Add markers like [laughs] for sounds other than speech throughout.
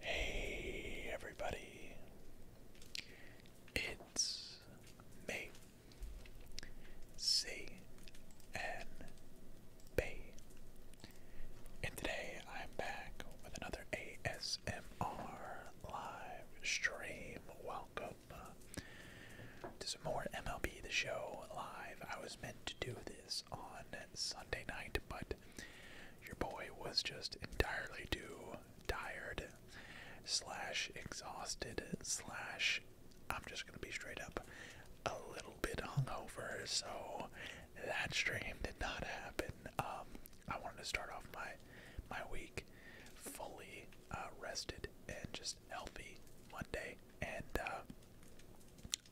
Hey everybody, it's me, C N B, and today I'm back with another ASMR live stream. Welcome, up uh, to some more MLB The Show live. I was meant to do this on Sunday night, but your boy was just entirely too tired, slash exhausted, slash I'm just gonna be straight up a little bit hungover, so that stream did not happen. Um, I wanted to start off my my week fully uh, rested and just healthy Monday, and uh,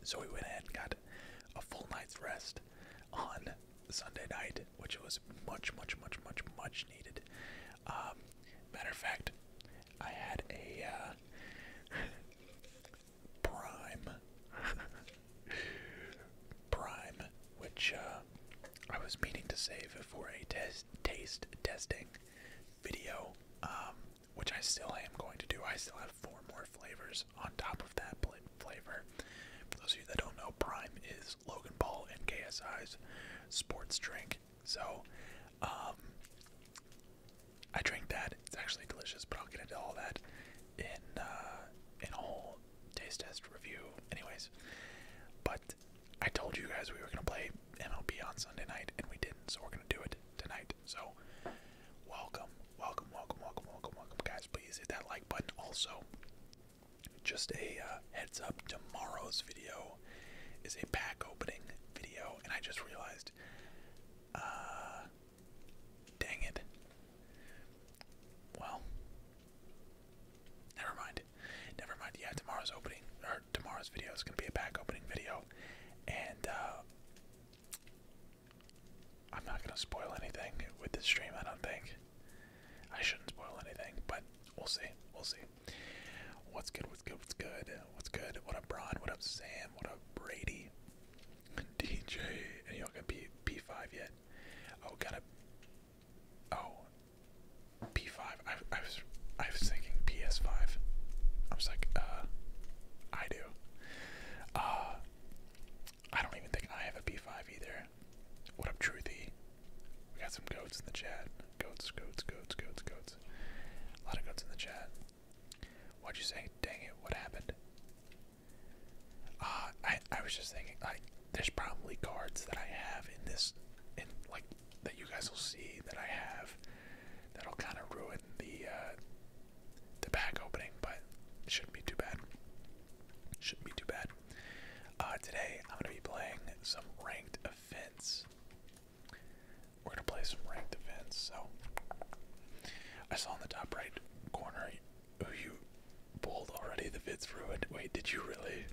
so we went ahead and got a full night's rest on Sunday night, which was much, much, much, much, much needed. Um, matter of fact, I had a uh, [laughs] prime, [laughs] prime, which uh, I was meaning to save for a test taste testing video, um, which I still am going to do. I still have four more flavors on top of that flavor. those of you that don't know, Prime is Logan Paul and KSI's sports drink. So, um, I drink that. It's actually delicious, but I'll get into all that in uh, in a whole taste test review, anyways. But I told you guys we were gonna play MLB on Sunday night, and we didn't, so we're gonna do it tonight. So, welcome, welcome, welcome, welcome, welcome, welcome, guys. Please hit that like button. Also, just a uh, heads up: tomorrow's video is a pack opening video, and I just realized, uh, dang it. Well, never mind. Never mind. Yeah, tomorrow's opening or tomorrow's video is going to be a pack opening video, and uh, I'm not going to spoil anything with this stream. I don't think I shouldn't spoil anything, but we'll see. We'll see. What's good? What's good? What's good? What's good? What up, Braun? What up, Sam? What up, Brady? [laughs] DJ? And y'all gonna be P5 yet? Oh, got a. Oh ps I, was I was thinking PS5. I was like, uh, I do. Uh, I don't even think I have a P5 either. What up, Truthy? We got some goats in the chat. Goats, goats, goats, goats, goats. A lot of goats in the chat. What'd you say? Dang it! What happened? Uh, I I was just thinking like there's probably cards that I have in this in like that you guys will see that I have that'll kind of ruin the uh, the back opening, but it shouldn't be too bad. Shouldn't be too bad. Uh, today I'm gonna be playing some ranked offense. We're gonna play some ranked events. So I saw in the top right corner who oh, you pulled already. The vid's ruined. Wait, did you really?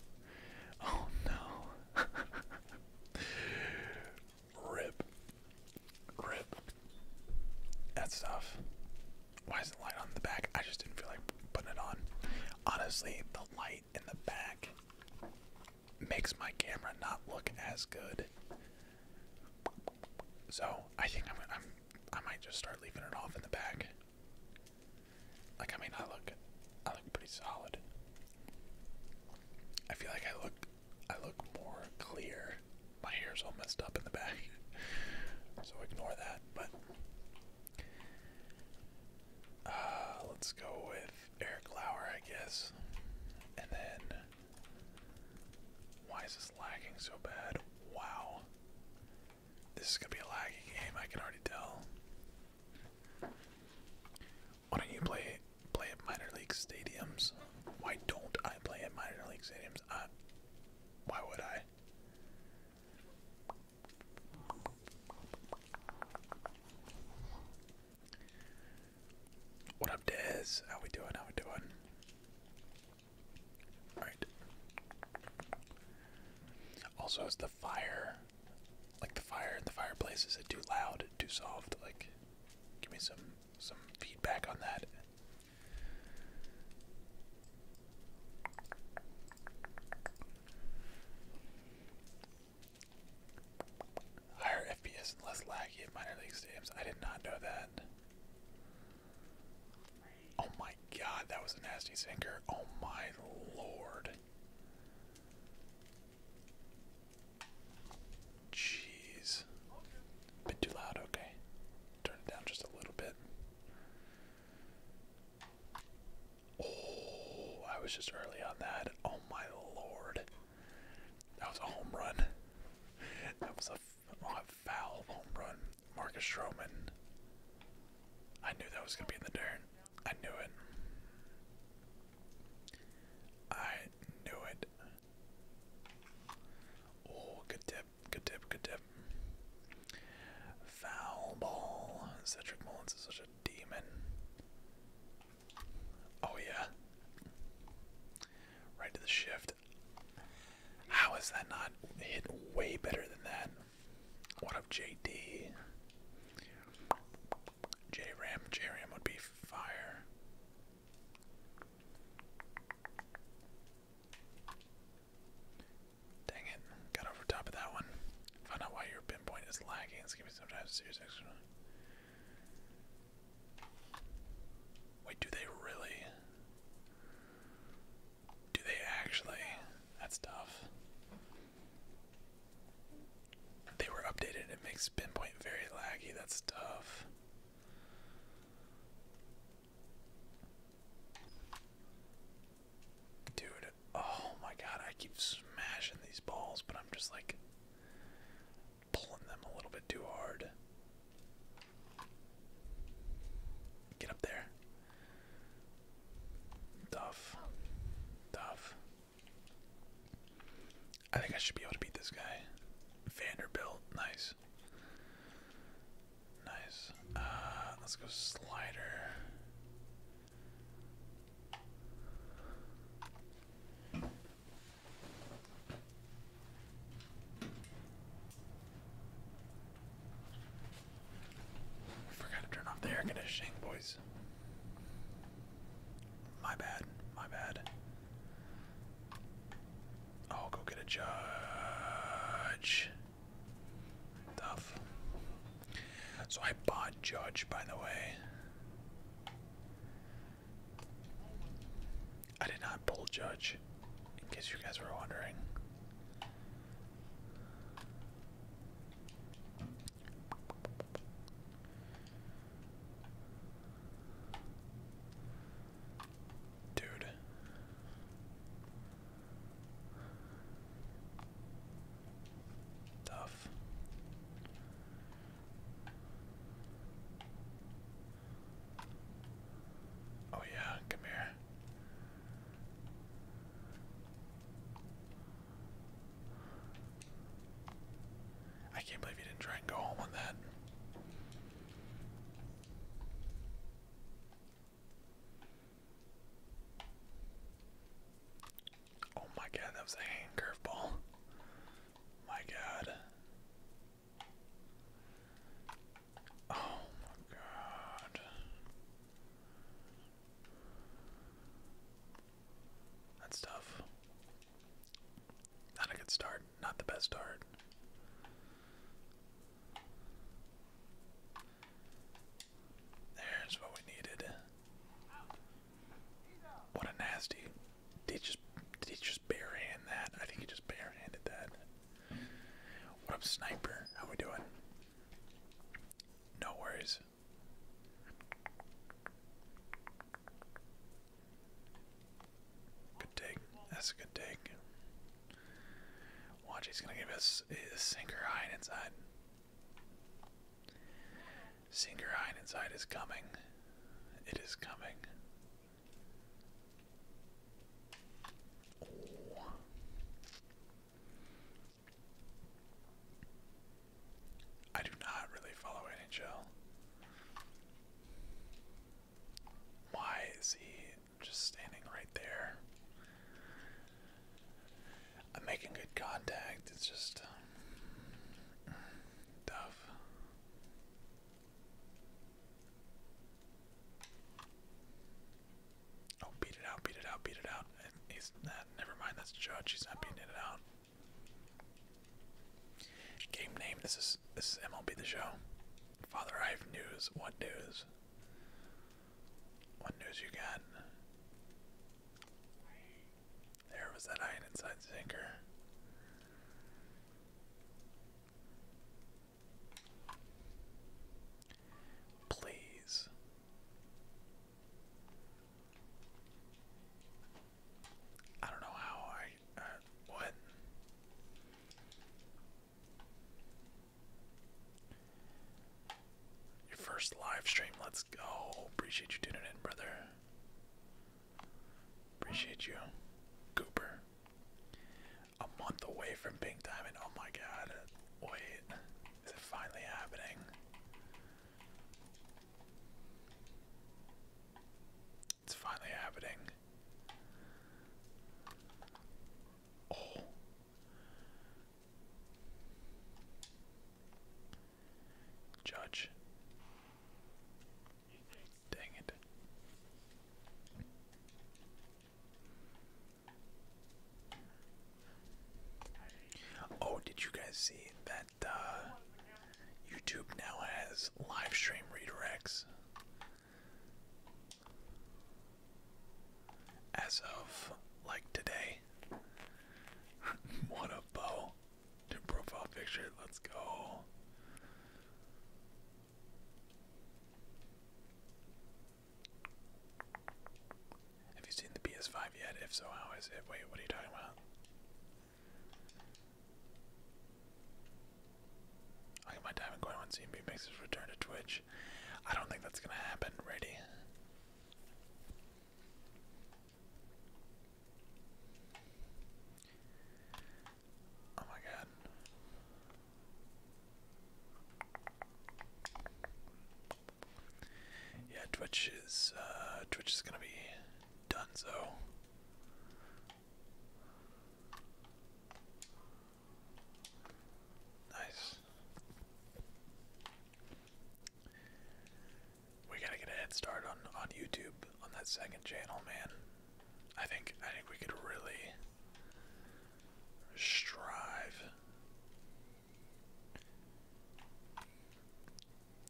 Oh no. [laughs] Rip. Rip. That stuff. Why is the light on the back? I just didn't feel like putting it on. Honestly, the light in the back makes my camera not look as good. So I think I'm, I'm I might just start leaving it off in the back. Like I mean, I look I look pretty solid. I feel like I look I look more clear. My hair's all messed up in the back, [laughs] so ignore that. But uh, let's go with Eric Lauer, I guess. And then, why is this lagging so bad? Wow, this is gonna be a laggy game. I can already tell. Why don't you play play at minor league stadiums? Why don't I play at minor league stadiums? why would I? What up, Dez? How we doing? How we doing? All right. Also, is the fire, like the fire in the fireplace, is it too loud, too soft? Like, Give me some some feedback on that. Higher FPS and less laggy at minor league stadiums. I did not know that. Oh my god, that was a nasty sinker. Oh my lord. Jeez. A too loud, okay. Turn it down just a little bit. Oh, I was just early on that. Oh my lord. That was a home run. That was a, oh, a foul home run. Marcus Stroman. I knew that was going to be in the dirt. I knew it. I knew it. Oh, good tip, good tip, good tip. Foul ball. Cedric Mullins is such a demon. Oh, yeah. Right to the shift. How is that not hit way better than that? What of JD? J Ram, J Ram would be fire. Dang it, got over top of that one. Found out why your pinpoint is lagging. It's giving me sometimes serious extra. Wait, do they really? Do they actually? That's tough they were updated. It makes pinpoint very laggy. That's tough. Dude, oh my god, I keep smashing these balls, but I'm just like pulling them a little bit too hard. Get up there. Tough. Tough. I think I should be able to beat this guy. Vanderbilt, nice. Nice. Uh, let's go slider. Forgot to turn off the air conditioning, boys. My bad. My bad. Oh, go get a judge. Tough. So I bought Judge, by the way. I did not pull Judge, in case you guys were wondering. Dude. Tough. Oh, yeah, come here. I can't believe you didn't try and go home on that. Oh my god, that was a curveball. My god. Oh my god. That's tough. Not a good start. Not the best start. There's what we needed. What a nasty. Did he just, did he just barehand that? I think he just barehanded that. What up, sniper? How we doing? No worries. Good dig. That's a good dig. Watch, he's gonna give us a sinker high inside. Sinker high inside is coming. It is coming. I do not really follow NHL. Why is he just standing right there? I'm making good contact. It's just um, tough. Oh, beat it out, beat it out, beat it out. He's never mind, that's Judge. He's not beating it out. Game name. This is this is MLB the show. Father, I have news. What news? What news you got? There was that iron inside sinker. Please. I don't know how I. Uh, what? Your first live stream, let's go. Appreciate you tuning in, brother. Appreciate you, Cooper. A month away from Pink Diamond. Oh my god. Wait. Is it finally happening? It's finally happening. Oh. Judge. Dang it. Oh, did you guys see that uh, YouTube now has live stream redirects as of like today. [laughs] what a bow. New profile picture, let's go. Have you seen the PS5 yet? If so, how is it? Wait, what are you talking about? I'll my diamond going when CMB makes his return to Twitch. I don't think that's gonna happen, ready. Oh my god. Yeah, Twitch is uh, Twitch is gonna be done so. Nice. We gotta get a head start on on YouTube on that second channel, man. I think I think we could really strive.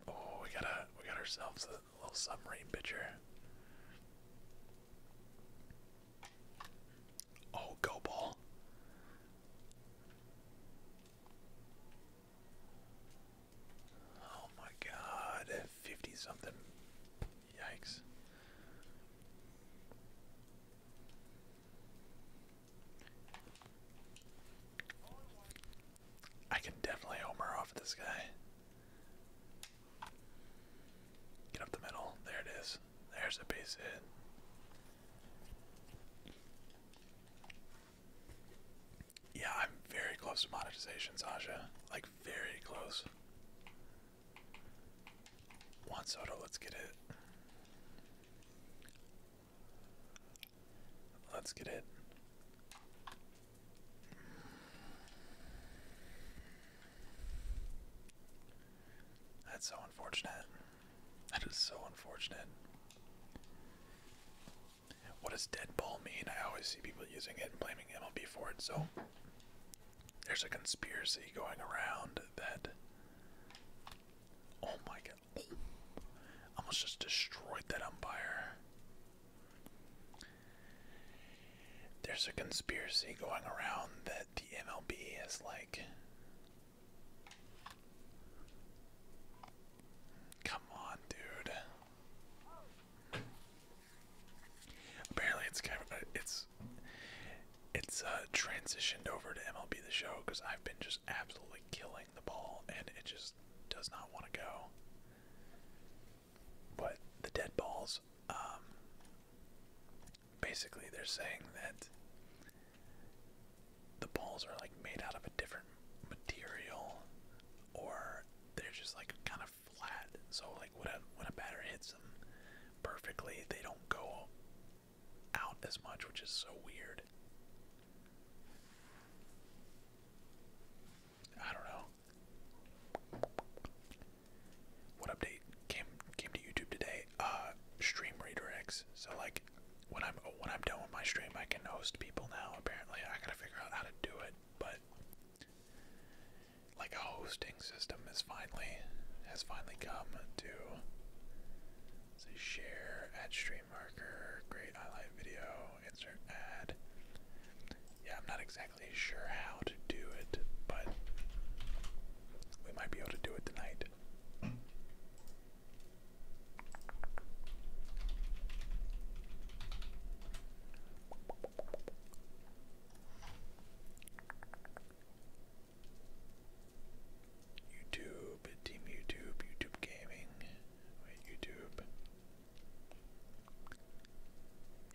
Oh, we gotta we got ourselves little submarine picture. Oh, go ball. Oh my god, 50 something. Yikes. I can definitely homer off this guy. Get up the middle. There it is. There's a base hit. Yeah, I'm very close to monetization, Sasha. Like, very close. Juan Soto, let's get it. Let's get it. That's so unfortunate. That is so unfortunate. What does dead ball mean? I always see people using it and blaming MLB for it, so there's a conspiracy going around that. Oh my god. Almost just destroyed that umpire. There's a conspiracy going around that the MLB is like. Come on, dude. Apparently, it's uh, it's it's uh, transitioned over to MLB the Show because I've been just absolutely killing the ball, and it just does not want to go but the dead balls, um, basically they're saying that the balls are like made out of a different material or they're just like kind of flat. So like when a, when a batter hits them perfectly, they don't go out as much, which is so weird. I don't know. What update came came to YouTube today? Uh, stream redirects. So like, when I'm when I'm done with my stream, I can host people now. Apparently, I gotta figure out how to do it, but like a hosting system has finally has finally come to. share at stream marker, great highlight video, insert ad. Yeah, I'm not exactly sure how to do it, but we might be able to do it tonight. YouTube, Team YouTube, YouTube Gaming, YouTube,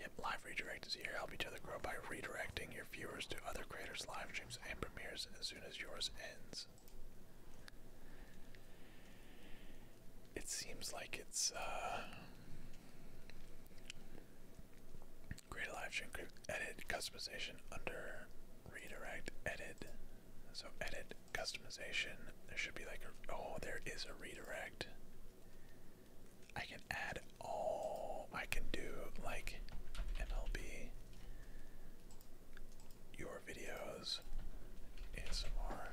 Yep, live redirect here. Help each other grow by redirecting your viewers to other creators' live streams and premieres as soon as yours ends. It seems like it's uh, create a live stream edit customization under redirect edit. So edit customization. There should be like a oh there is a redirect. I can add all I can do like MLB your videos and some more.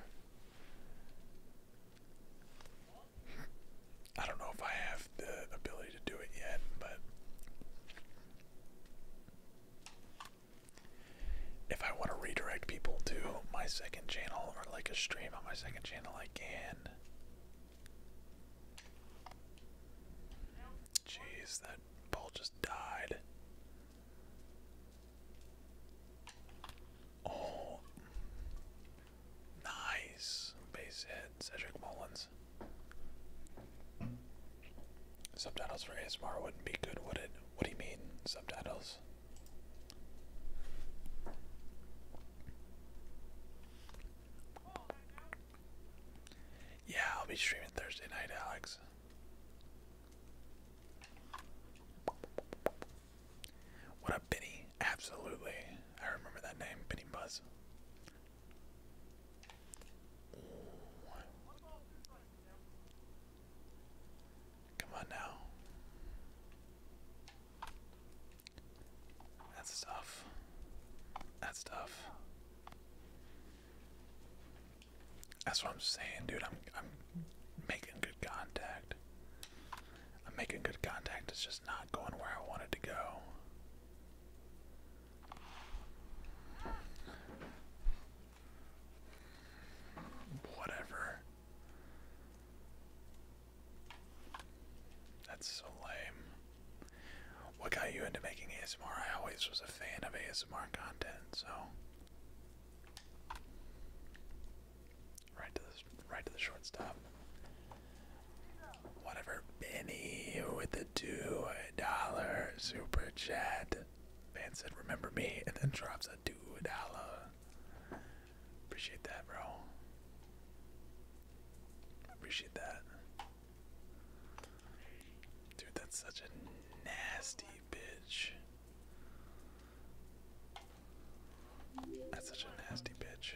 I don't know if I have the ability to do it yet, but if I want to redirect people to my second channel or like a stream on my second channel, like. Jeez, that ball just died. Oh, nice base hit, Cedric Mullins. Subtitles for ASMR wouldn't be good, would it? What do you mean, subtitles? Yeah, I'll be streaming Thursday night, Alex. What up, Benny? Absolutely. I remember that name, Benny Buzz. Come on now. That's tough. That's tough. That's what I'm saying, dude. I'm I'm making good contact. I'm making good contact. It's just not going where I wanted to go. Whatever. That's so lame. What got you into making ASMR? I always was a fan of ASMR content, so right to the right to the shortstop. Whatever, Benny with the two dollar super chat. Man said, "Remember me," [laughs] and then drops a two dollar. Appreciate that, bro. Appreciate that. Dude, that's such a nasty bitch. That's such a nasty bitch.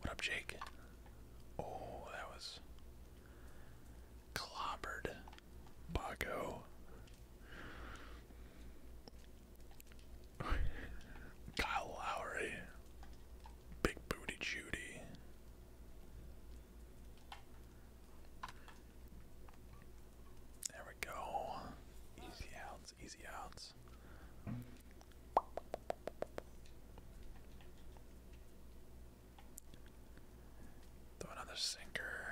What up, Jake? Oh, that was clobbered. Bago. [laughs] Kyle Lowry. Big Booty Judy. There we go. Easy outs, easy outs. Throw another sinker.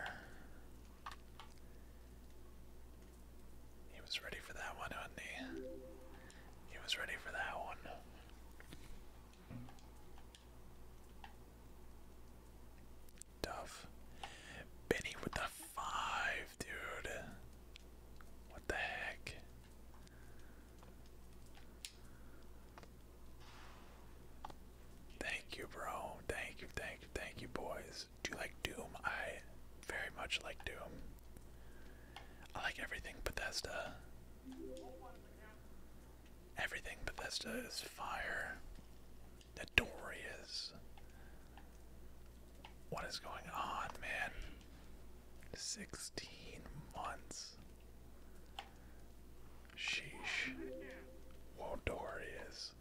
He was ready for that one, wasn't he? He was ready for that one. Tough. Benny with the five, dude. What the heck? Thank you, bro. Thank you, thank you, thank you, boys. Do you like Doom? I very much like Doom. I like everything Bethesda. Everything Bethesda is fire. is. What is going on, man? 16 months. Sheesh. Wotorious.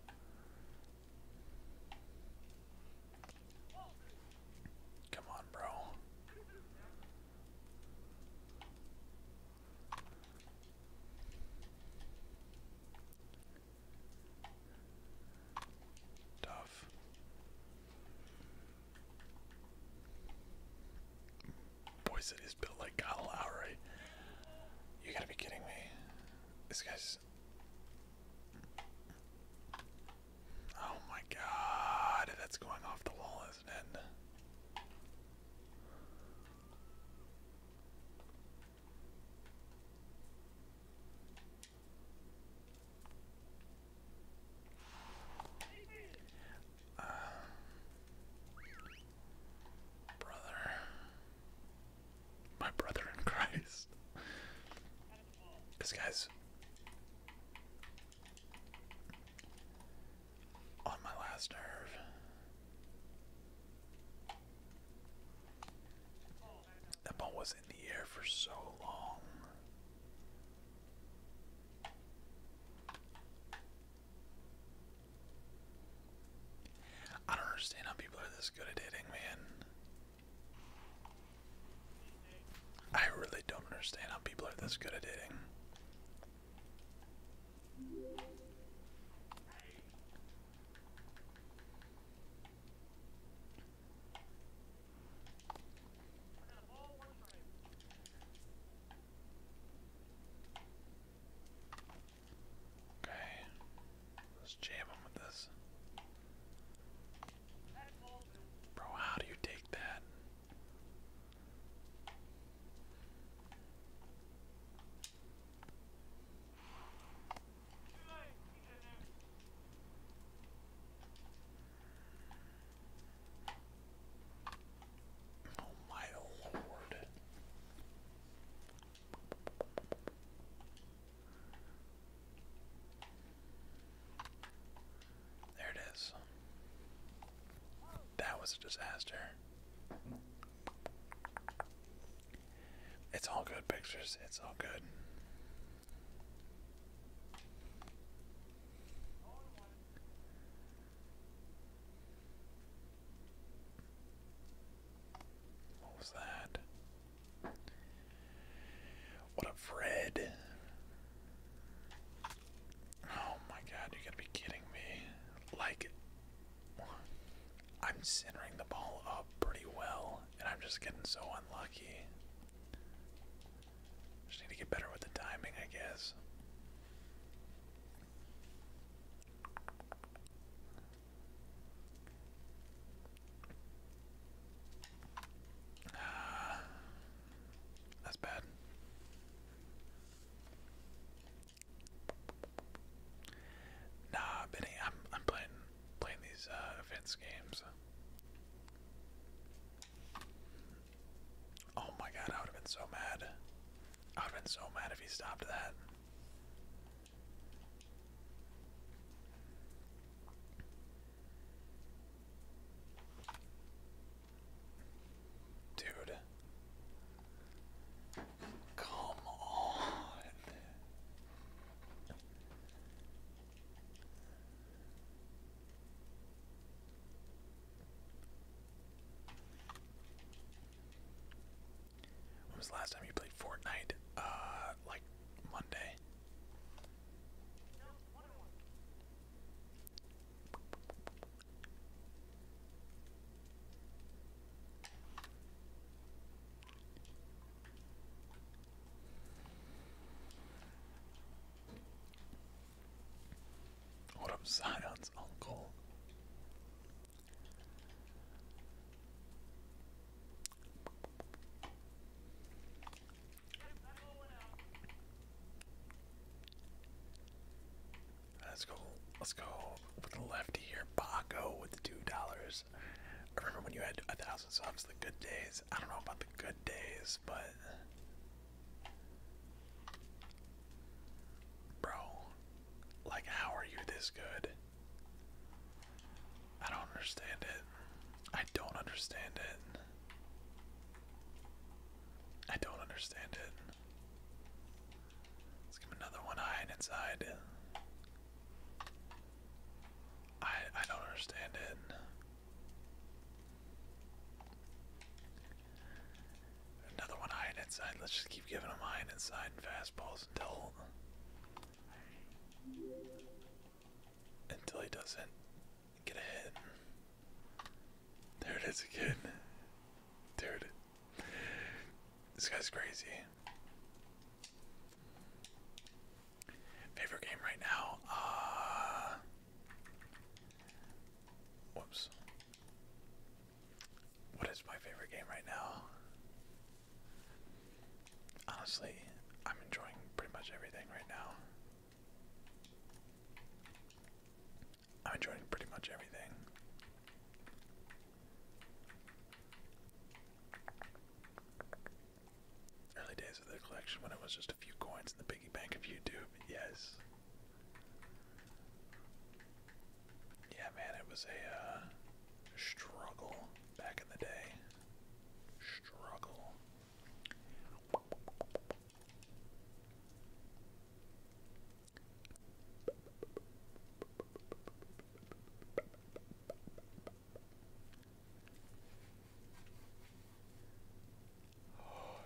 Come on, bro. Tough. Boy City is built like Kyle Lowry. You gotta be kidding me. This guy's. Oh my god, that's going off the wall, isn't it? Um, brother. My brother in Christ. This guy's on my last nerve. That ball was in the air for so long. I don't understand how people are this good at hitting, man. I really don't understand how people are this good at hitting. Okay. Let's jam him with this. Bro, how do you take that? Oh my lord. There it is. That was a disaster. It's all good pictures. It's all good. What was that? What a Fred. Oh my god, you gotta be kidding me. Like, I'm centering the ball up pretty well, and I'm just getting so unlucky. Just need to get better with the timing, I guess. Uh, [sighs] that's bad. Nah, Benny, I'm I'm playing playing these uh, games. Oh my god, I would have been so mad. I would have been so mad if he stopped that. Dude. Come on. When was the last time you played Fortnite? Uh, like Monday. What up, Zion's uncle? Let's go. Let's go with the lefty here. Baco with the two dollars. I remember when you had a thousand subs, the good days. I don't know about the good days, but bro, like, how are you this good? I don't understand it. I don't understand it. I don't understand it. Let's give him another one eye and inside. I I don't understand it. Another one high and inside. Let's just keep giving him high and inside and fastballs until until he doesn't get a hit. There it is again. Dude, this guy's crazy. Favorite game right now? Uh, whoops. What is my favorite game right now? Honestly, I'm enjoying pretty much everything right now. I'm enjoying pretty much everything. Early days of the collection when it was just a few coins in the piggy bank of YouTube, yes. Yeah, man, it was a uh, struggle back in the day. Struggle. Oh, [sighs]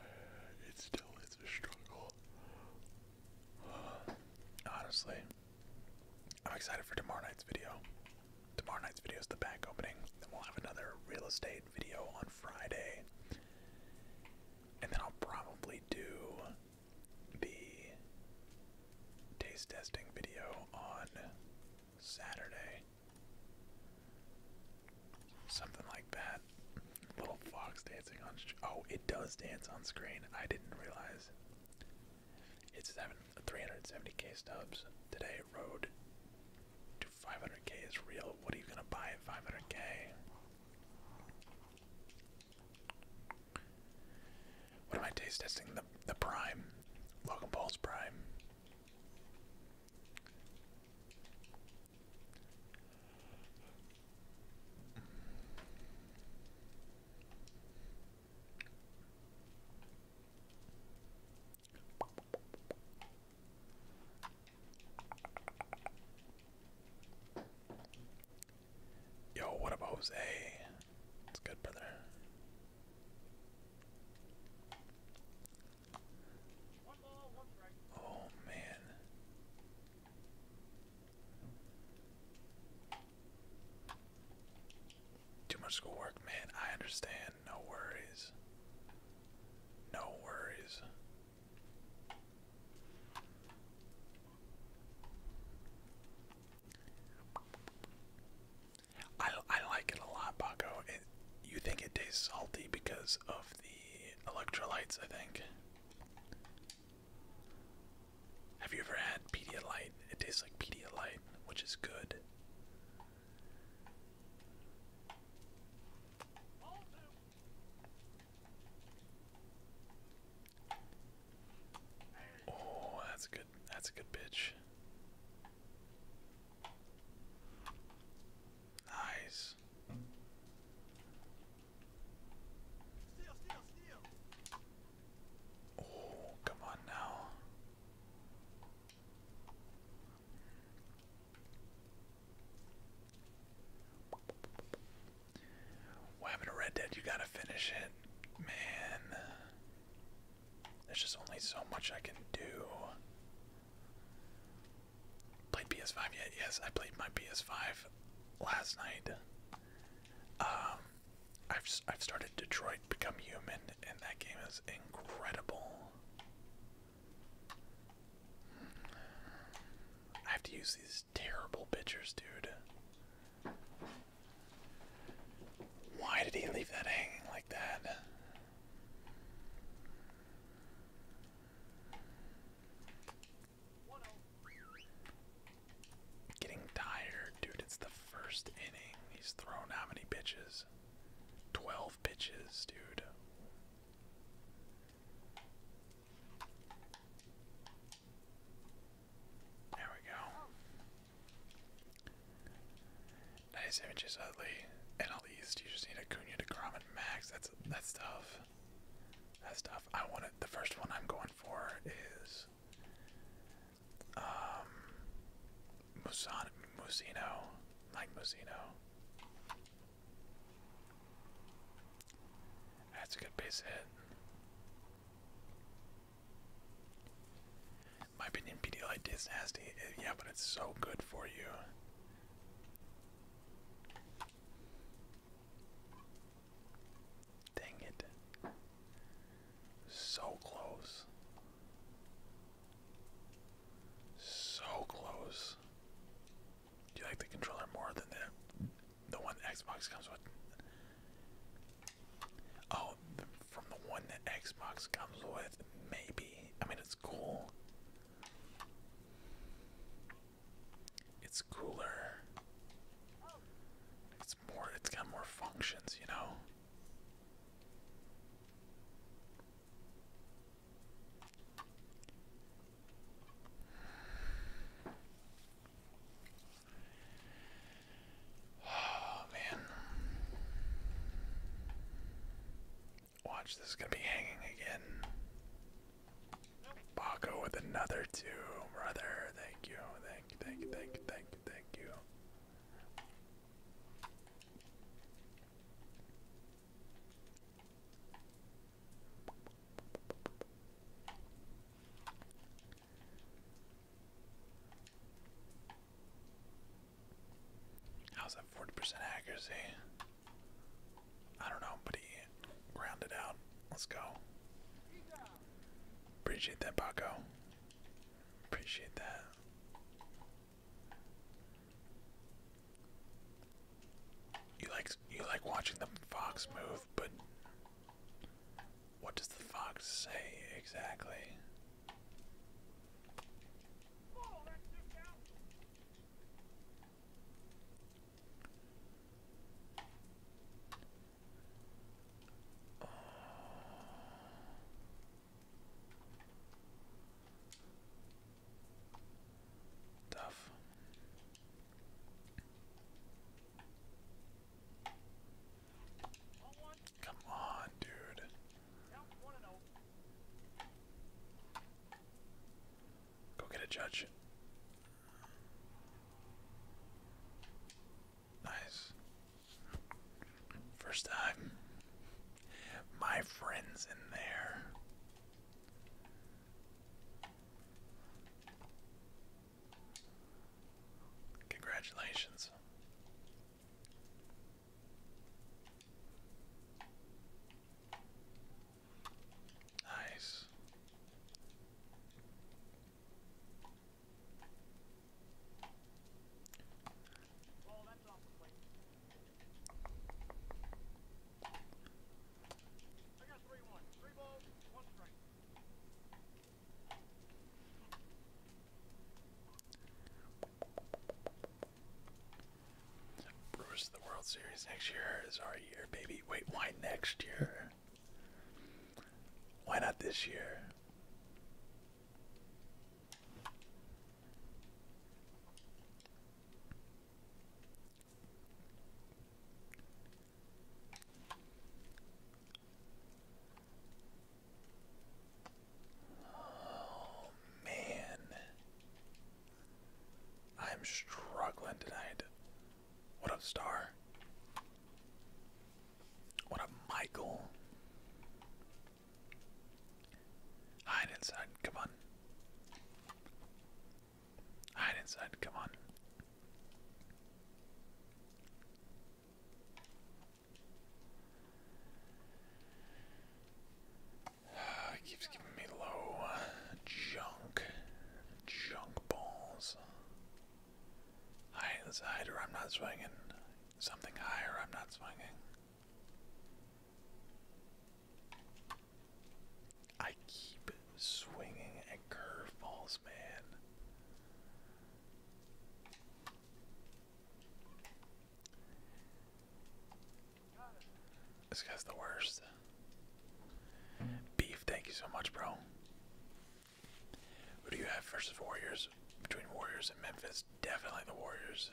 still is a struggle. [sighs] Honestly, I'm excited for tomorrow night's video. Tomorrow night's video is the bank opening. Then we'll have another real estate video on Friday. And then I'll probably do the taste testing video on Saturday. Something like that. Little fox dancing on. Oh, it does dance on screen. I didn't realize. It's 370k stubs. Today, road to 500k is real. What are you going to buy at 500k? What am I taste testing? The, the Prime. Logan Paul's Prime. Yo, what about Jose? It's good, brother. Oh man. Too much schoolwork, man. I understand. No worries. No worries. I, I like it a lot, Paco. you think it tastes salty because of the electrolytes, I think. Have you ever had Pedialyte? It tastes like Pedialyte, which is good. Oh, that's a good. That's a good pitch. Nice. Oh, come on now. What happened to Red Dead? You gotta finish it. Man. There's just only so much I can do. Played PS5 yet? Yes, I played my PS5 last night. Um, I've I've started Detroit Become Human, and that game is incredible. I have to use these terrible bitches, dude. Why did he leave that hanging like that? Getting tired, dude. It's the first inning. He's thrown how many pitches? 12 pitches, dude. There we go. Nice images, Utley. And all you just need Acuna, Degrom, and Max. That's that's tough. That's tough. I want The first one I'm going for is um, Musino, Mike Musino. That's a good base hit. My opinion, Pedialyte is nasty. Uh, yeah, but it's so good for you. Dang it. So close. So close. Do you like the controller more than the the one Xbox comes with? Oh, from the one that Xbox comes with, maybe. I mean, it's cool. It's cooler. It's more. It's got more functions, you know. Oh man. Watch this gonna be hanging again. Baco with another two, brother. Thank you, thank you, thank you, thank you, thank you, thank you. How's that 40% accuracy? I don't know, but he grounded out. Let's go. Appreciate that, Paco. Appreciate that. You like you like watching the fox move, but what does the fox say exactly? Uh, Come on, dude. Go get a judge. Nice. First time. My friend's in there. Congratulations. Nice. Brewers the World Series next year is our year, baby. Wait, why next year? Why not this year? Oh man. I'm struggling tonight. What up, Star? What up, Michael? Hide inside, come on. Hide inside, come on. Ah, it keeps giving me low junk, junk balls. Hide inside, or I'm not swinging. Something higher, I'm not swinging. I keep swinging at curveballs, man. This guy's the worst. Beef, thank you so much, bro. Who do you have versus Warriors? Between Warriors and Memphis, definitely the Warriors.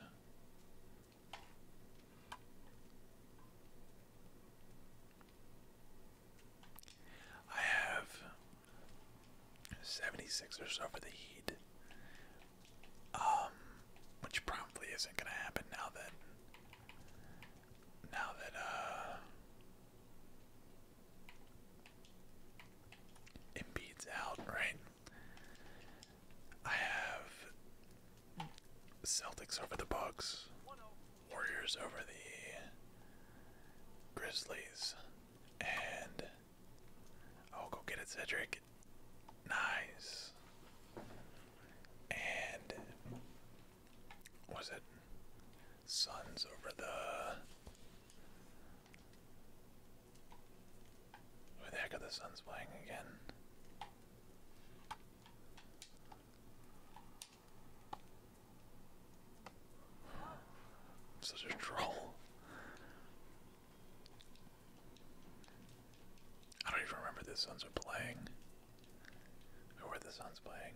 I have 76 or so for the Heat, um, which probably isn't going to happen now that now that uh Embiid's out, right? I have Celtics over the Bucks, Warriors over the Grizzlies, and I'll oh, go get it, Cedric. Nice. And was it Suns over the where the heck are the Suns playing again? such a troll. I don't even remember the Suns are playing. Or where the Suns playing.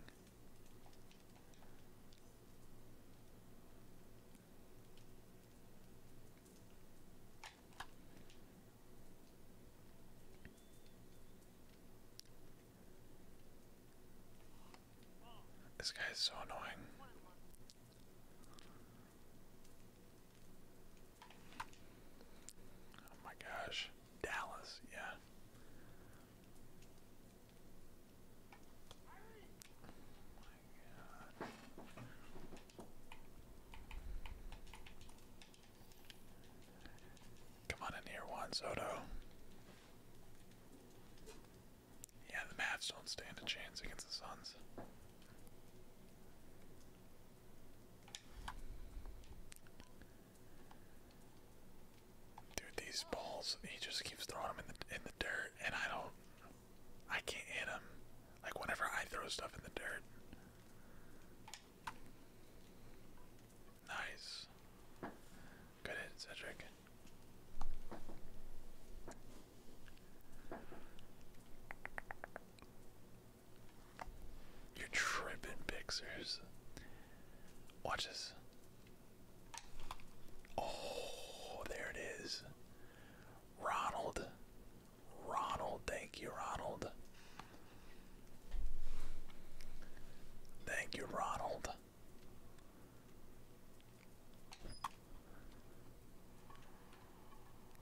This guy is so annoying. Oh my gosh. Dallas, yeah. Oh Come on in here, Juan Soto. Yeah, the Mavs don't stand a chance against the Suns. Dude, these balls—he just keeps throwing them in the in the dirt, and I don't. I can't hit him. Like whenever I throw stuff in the dirt. Nice. Good hit, Cedric. You're tripping, Pixers. Watch this. Oh, there it is. Ronald. Ronald, thank you, Ronald. Thank you, Ronald.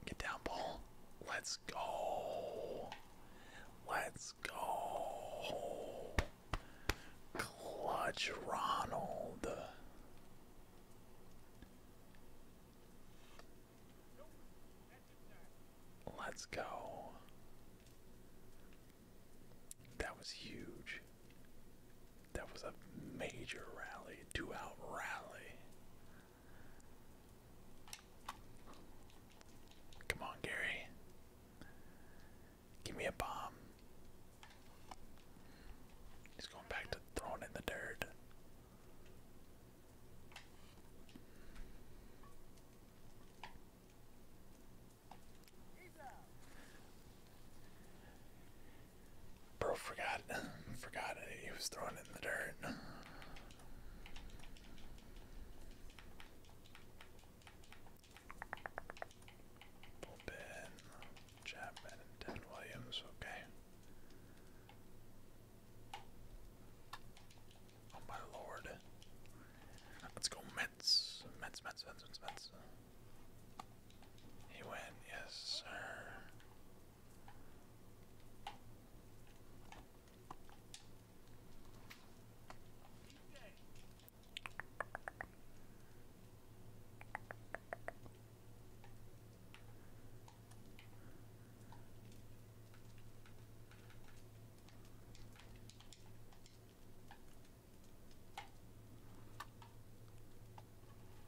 Get down, Paul. Let's go. Let's go. Clutch Ronald. Let's go. That was huge. That was a major rally, two out rally. Come on, Gary. Give me a bomb. He's going back to throwing in the dirt. Bro forgot [laughs] forgot He was throwing in the dirt. Chapman and Dan Williams, okay. Oh my lord. Let's go Mets. Mets, Mets, Mets, Mets, Mets. He went, yes sir.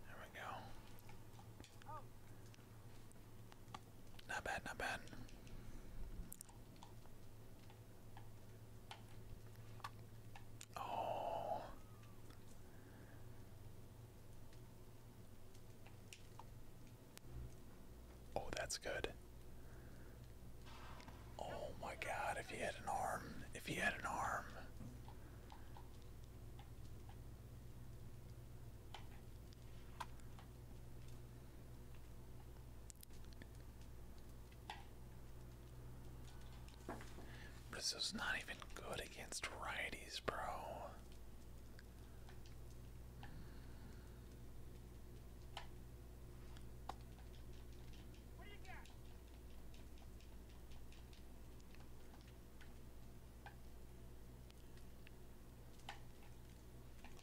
There we go. Not bad, not bad. Oh. Oh, that's good. Oh my god, if he had an arm. If he had an arm. This is not even good against righties, bro.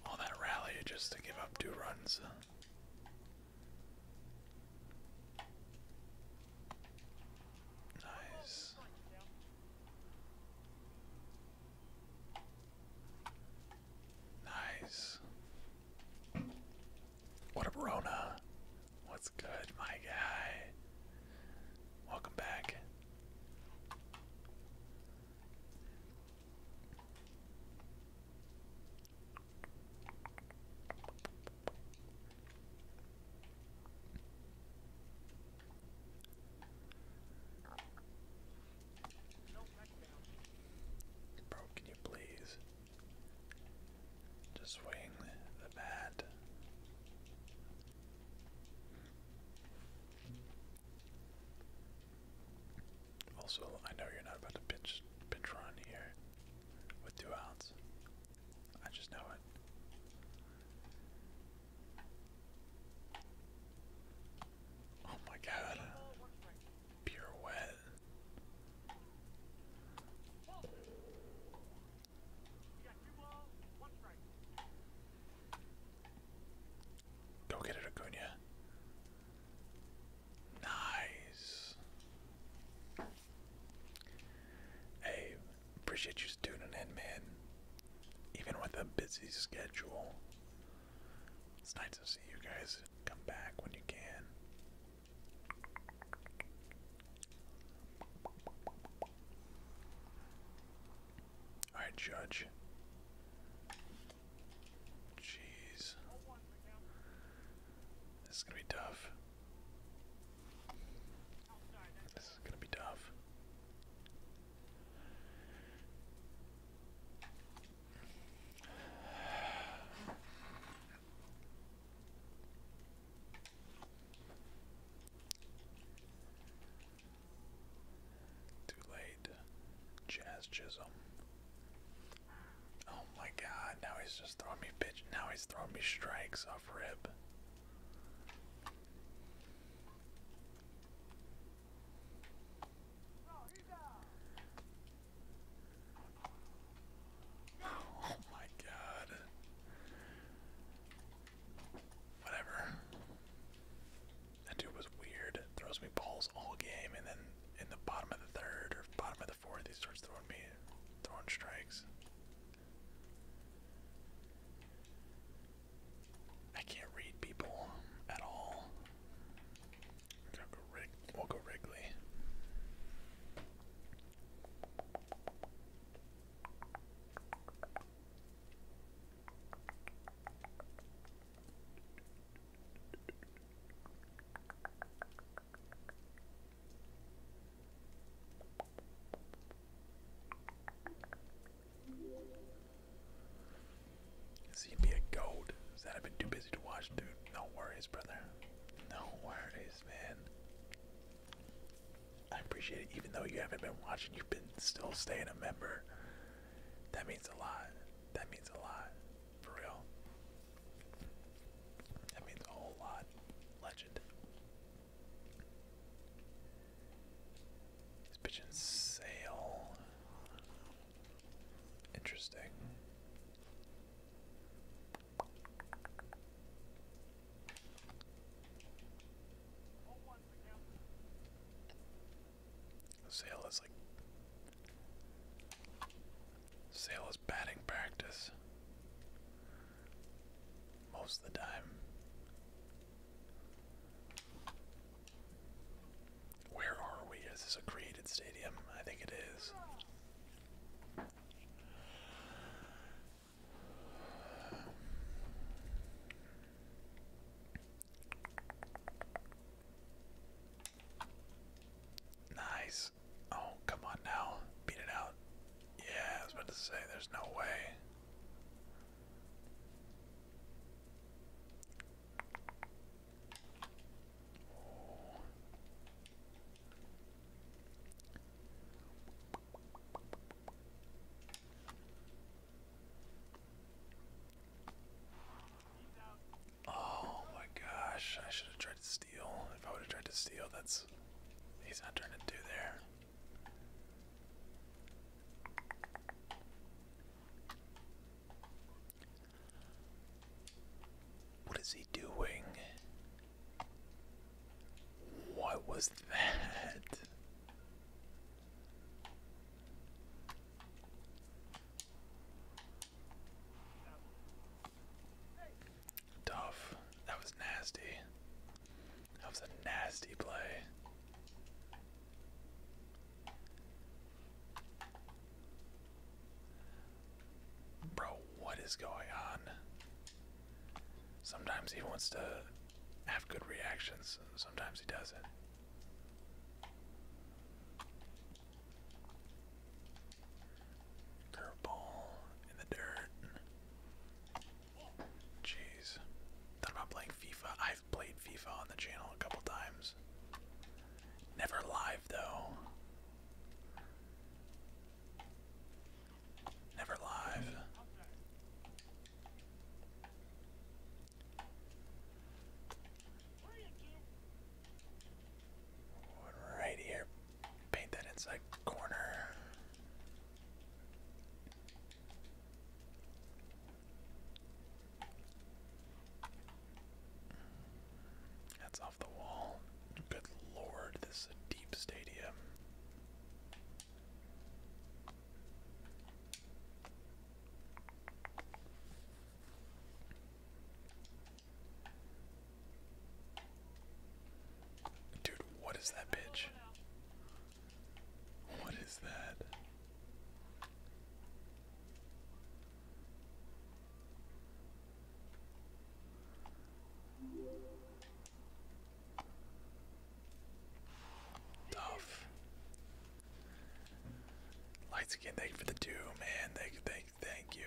All that rally just to give up two runs. Nice. Nice. What a Rona. What's good, my guy? Welcome back. Bro, can you please just swing the bat? Also, I know you're not about to pitch pitch run here with two outs. I just know it. Oh my god. Pure wet. Go get it, Acuna. Nice. Hey, appreciate you tuning in, man. Even with a busy schedule, it's nice to see you guys come back when you can. Alright, Judge. Jeez. This is gonna be tough. This is gonna be tough. Too late. Jazz Chisholm. Oh my god, now he's just throwing me Now he's throwing me strikes oh Oh my god. Whatever. That dude was weird. Throws me balls all game and then in the bottom of the third or bottom of the fourth he starts throwing me throwing strikes. I can't read people at all. We'll go, Wrigley. CB a gold. Is that a bit too busy to watch, dude? No worries, brother. No worries, man. I appreciate it. Even though you haven't been watching, you've been still staying a member. That means a lot. That means a lot. For real. That means a whole lot. Legend. These pigeons sail. Interesting. Sail is like sail is batting practice most of the time. Where are we? Is this a created stadium? I think it is. Nice. Oh, come on now. Beat it out. Yeah, I was about to say, there's no way. Oh my gosh, I should have tried to steal. If I would have tried to steal, that's he's not trying to do there. What is he doing? What was that? Tough. That was nasty. That was a nasty play. Bro, what is going on? Sometimes he wants to have good reactions, sometimes he doesn't. Curveball in the dirt. Jeez. Thought about playing FIFA. I've played FIFA on the channel a couple times. Never live though. Never live. Right here. Paint that inside corner. That's off the wall. Good lord, this is a deep stadium. Dude, what is that bitch? What is that? Tough. Lights again, thank for the two, man. Thank thank thank you.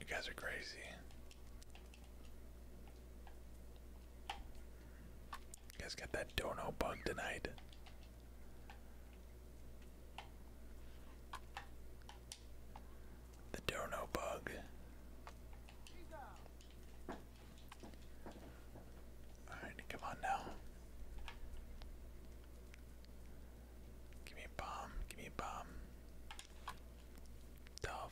You guys are crazy. You guys got that dono bug tonight. The dono bug. Alright, come on now. Give me a bomb, give me a bomb. Dumb.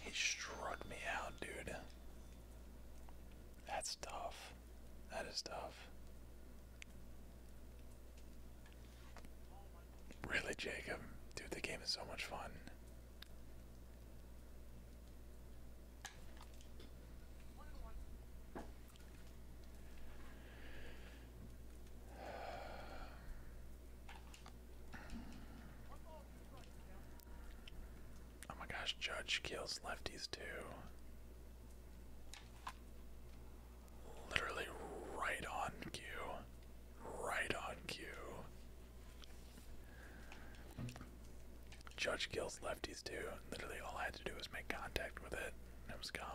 He struck me out, dude. That's tough. That is tough. Really, Jacob? Dude, the game is so much fun. Oh my gosh, Judge kills lefties too. Literally right on cue. Right on cue. Judge kills lefties too. Literally all I had to do was make contact with it and it was gone.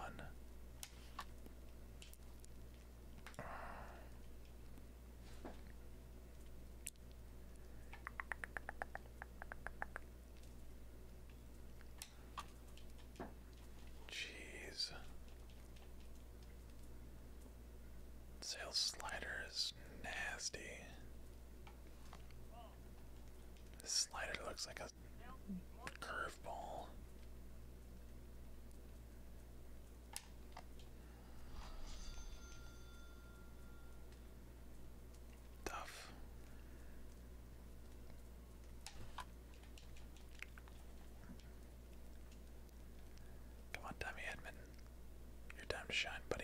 Jeez. Sail slider is nasty. This slider looks like a curveball. Tough. Come on, Tommy Edmond. Your time to shine, buddy.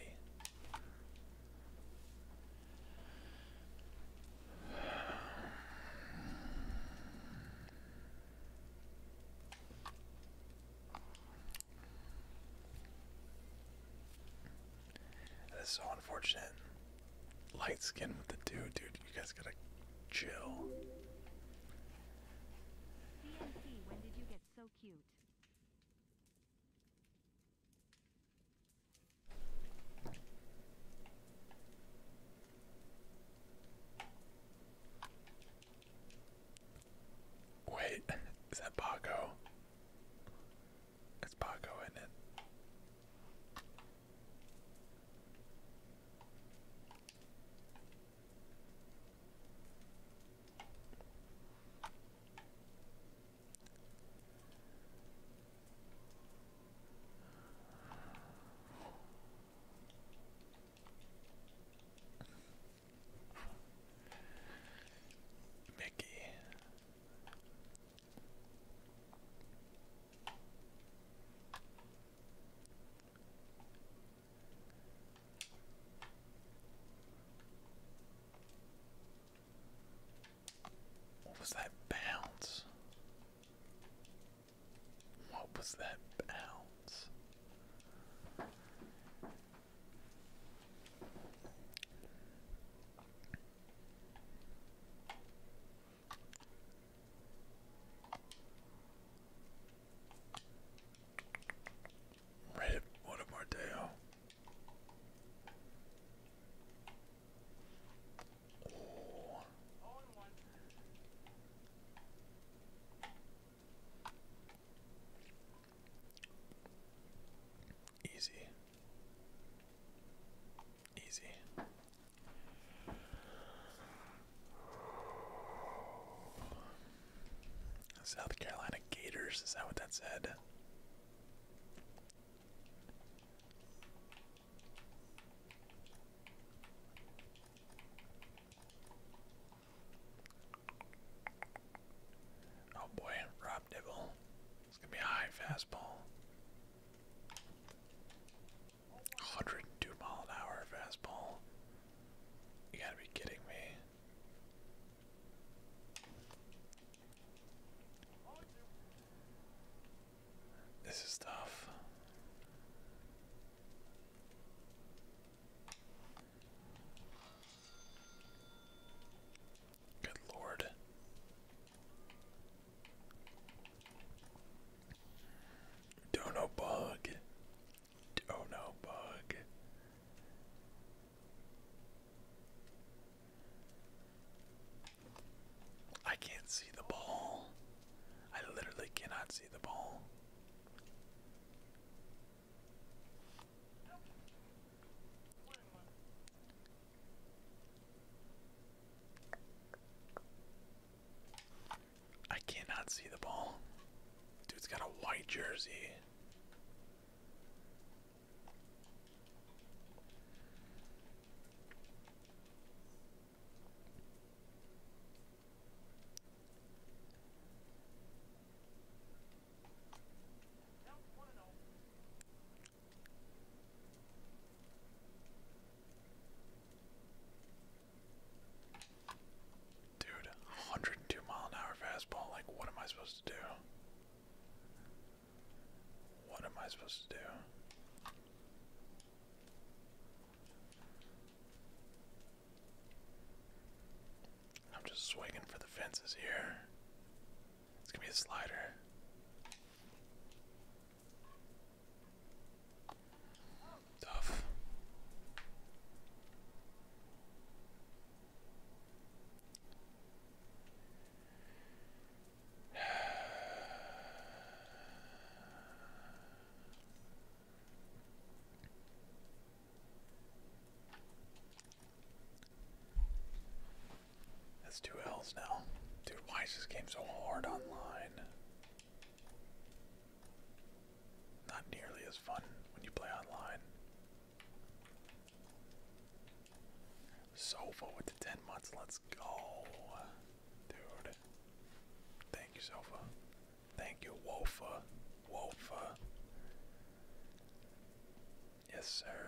That's so unfortunate. Light skin with the dude, dude. You guys gotta chill. Wait, is that Paco? It's Paco, is it? Mickey. What was that bounce? What was that bounce? Rip, what a Mardeo. Easy. Easy. South Carolina Gators, is that what that said? Oh boy, Rob Dibble. It's gonna be a high fastball. 102 mile an hour fastball. You gotta be kidding me. This is tough. Good lord. Don't no bug. Oh no bug. I can't see the ball. I literally cannot see the ball. I cannot see the ball. Dude's got a white jersey. Dude, 102 mile an hour fastball. Like, what am I supposed to do? What am I supposed to do? I'm just swinging for the fences here. It's gonna be a slider. Tough. That's two L's now. Dude, why is this game so hard online? Not nearly as fun when you play online. Sofa with the 10 months, let's go. Dude. Thank you, Sofa. Thank you, Wofa. Wofa. Yes, sir.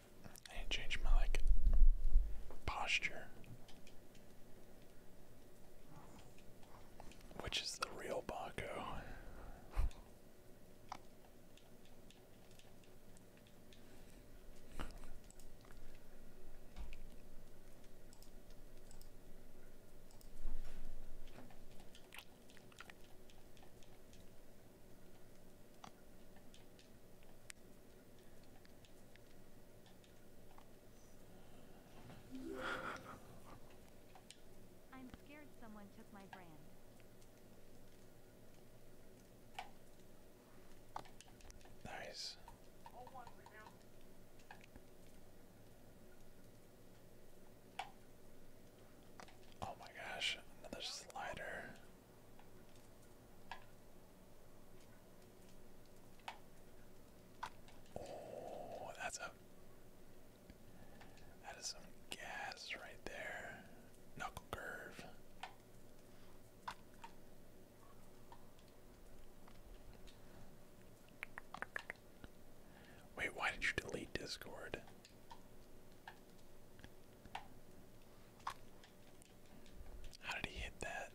I need my like posture. Which is the real Baco? I'm scared someone took my brand. Nice. Oh my gosh, another slider. Oh, that's a that is some gas right there. Knuckle curve. Wait, why did you delete Discord? How did he hit that?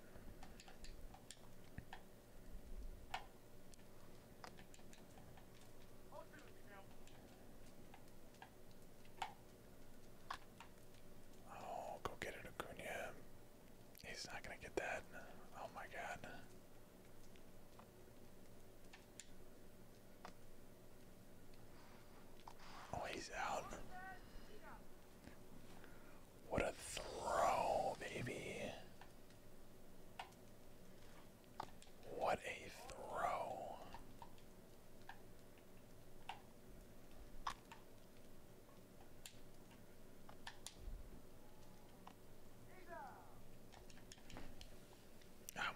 Oh, go get it, Acuna. He's not gonna get that. Oh my god. Oh, he's out. What a throw, baby. What a throw.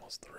almost threw.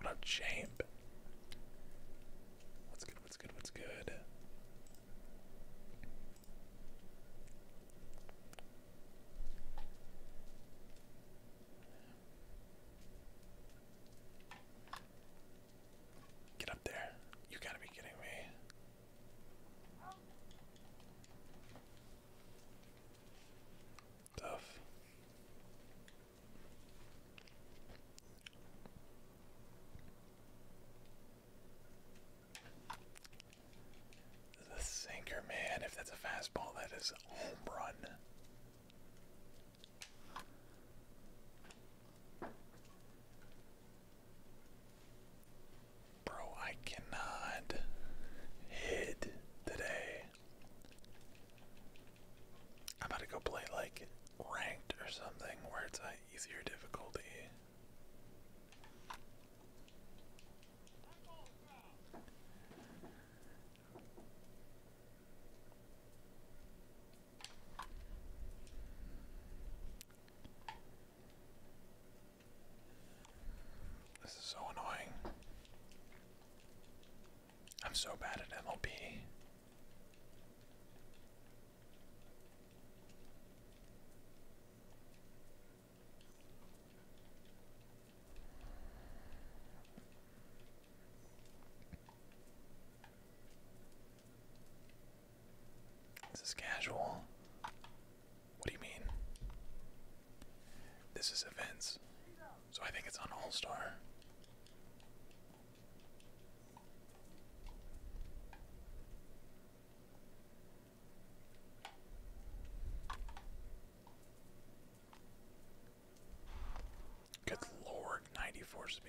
What a champ? What's good? What's good? What's good? Get up there. You gotta be kidding me. Tough. The sinker, man, if that's a fastball, that is home run. Bro, I cannot hit today. I'm about to go play like ranked or something where it's easier difficulty. This is so annoying. I'm so bad at MLB. This is casual. What do you mean? This is events. So I think it's on All Star. Good lord, 94 speed.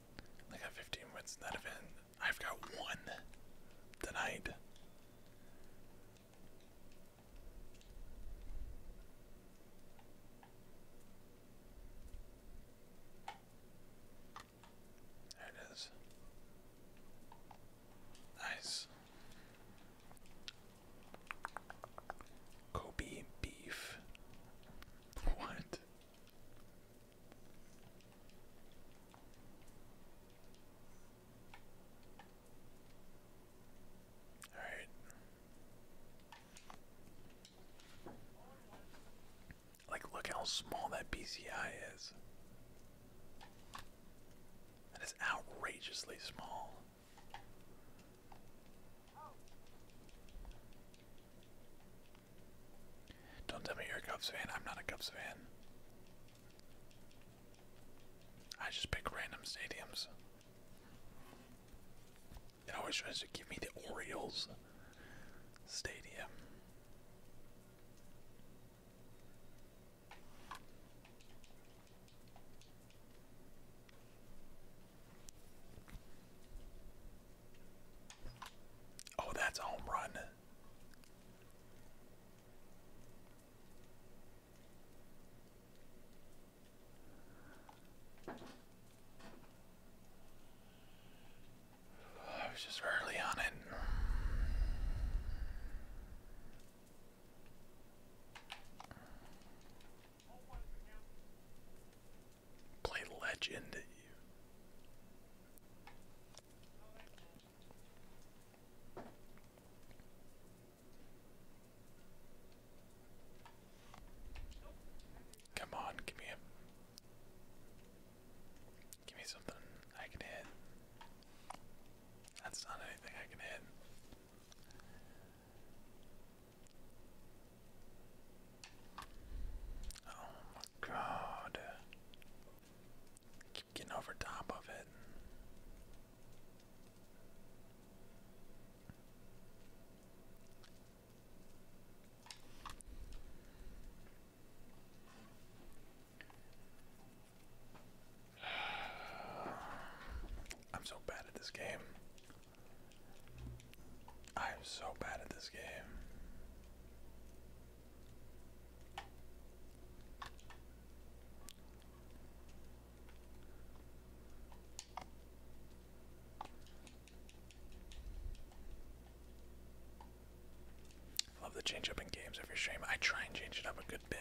I got 15 wins in that event. I've got one tonight. There it is. Nice. Kobe beef. What? All right. Like, look how small that BCI is. That is outrageously small. Don't tell me you're a Cubs fan. I'm not a Cubs fan. I just pick random stadiums. It always tries to give me the Orioles Stadium. Oh, that's a home run. I was just early on it play Legend. Come on, give me give me something I can hit. That's not anything I can hit. Oh god. Keep getting over top of it. [sighs] I'm so bad at this game. I am so bad at this game. Love the change in games every stream. I try and change it up a good bit.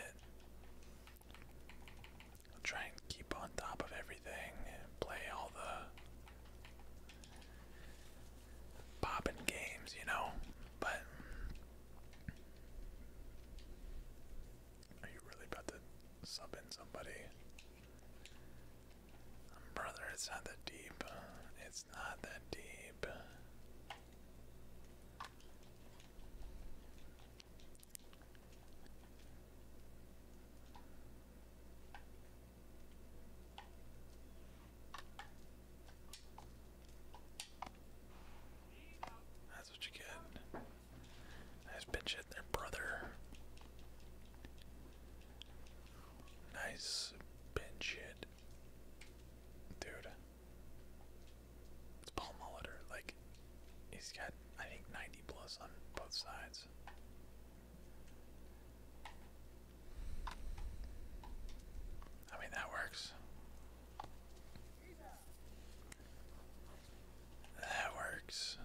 i try and keep on top of everything play all the popping games, you know? But are you really about to sub in somebody? brother, it's not that deep. It's not that deep. That's what you get. Nice bitch at their brother. Nice bench hit. Dude. It's Paul Molitor. Like, he's got, I think, 90 plus on both sides. I mean, that works. That works.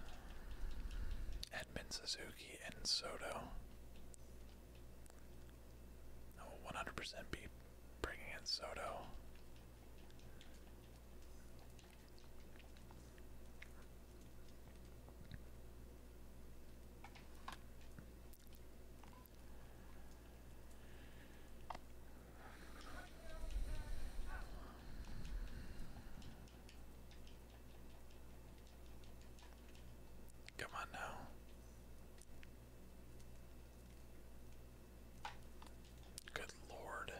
Edmund Suzuki and Soto. I will 100% be bringing in Soto. Come on now. Good Lord.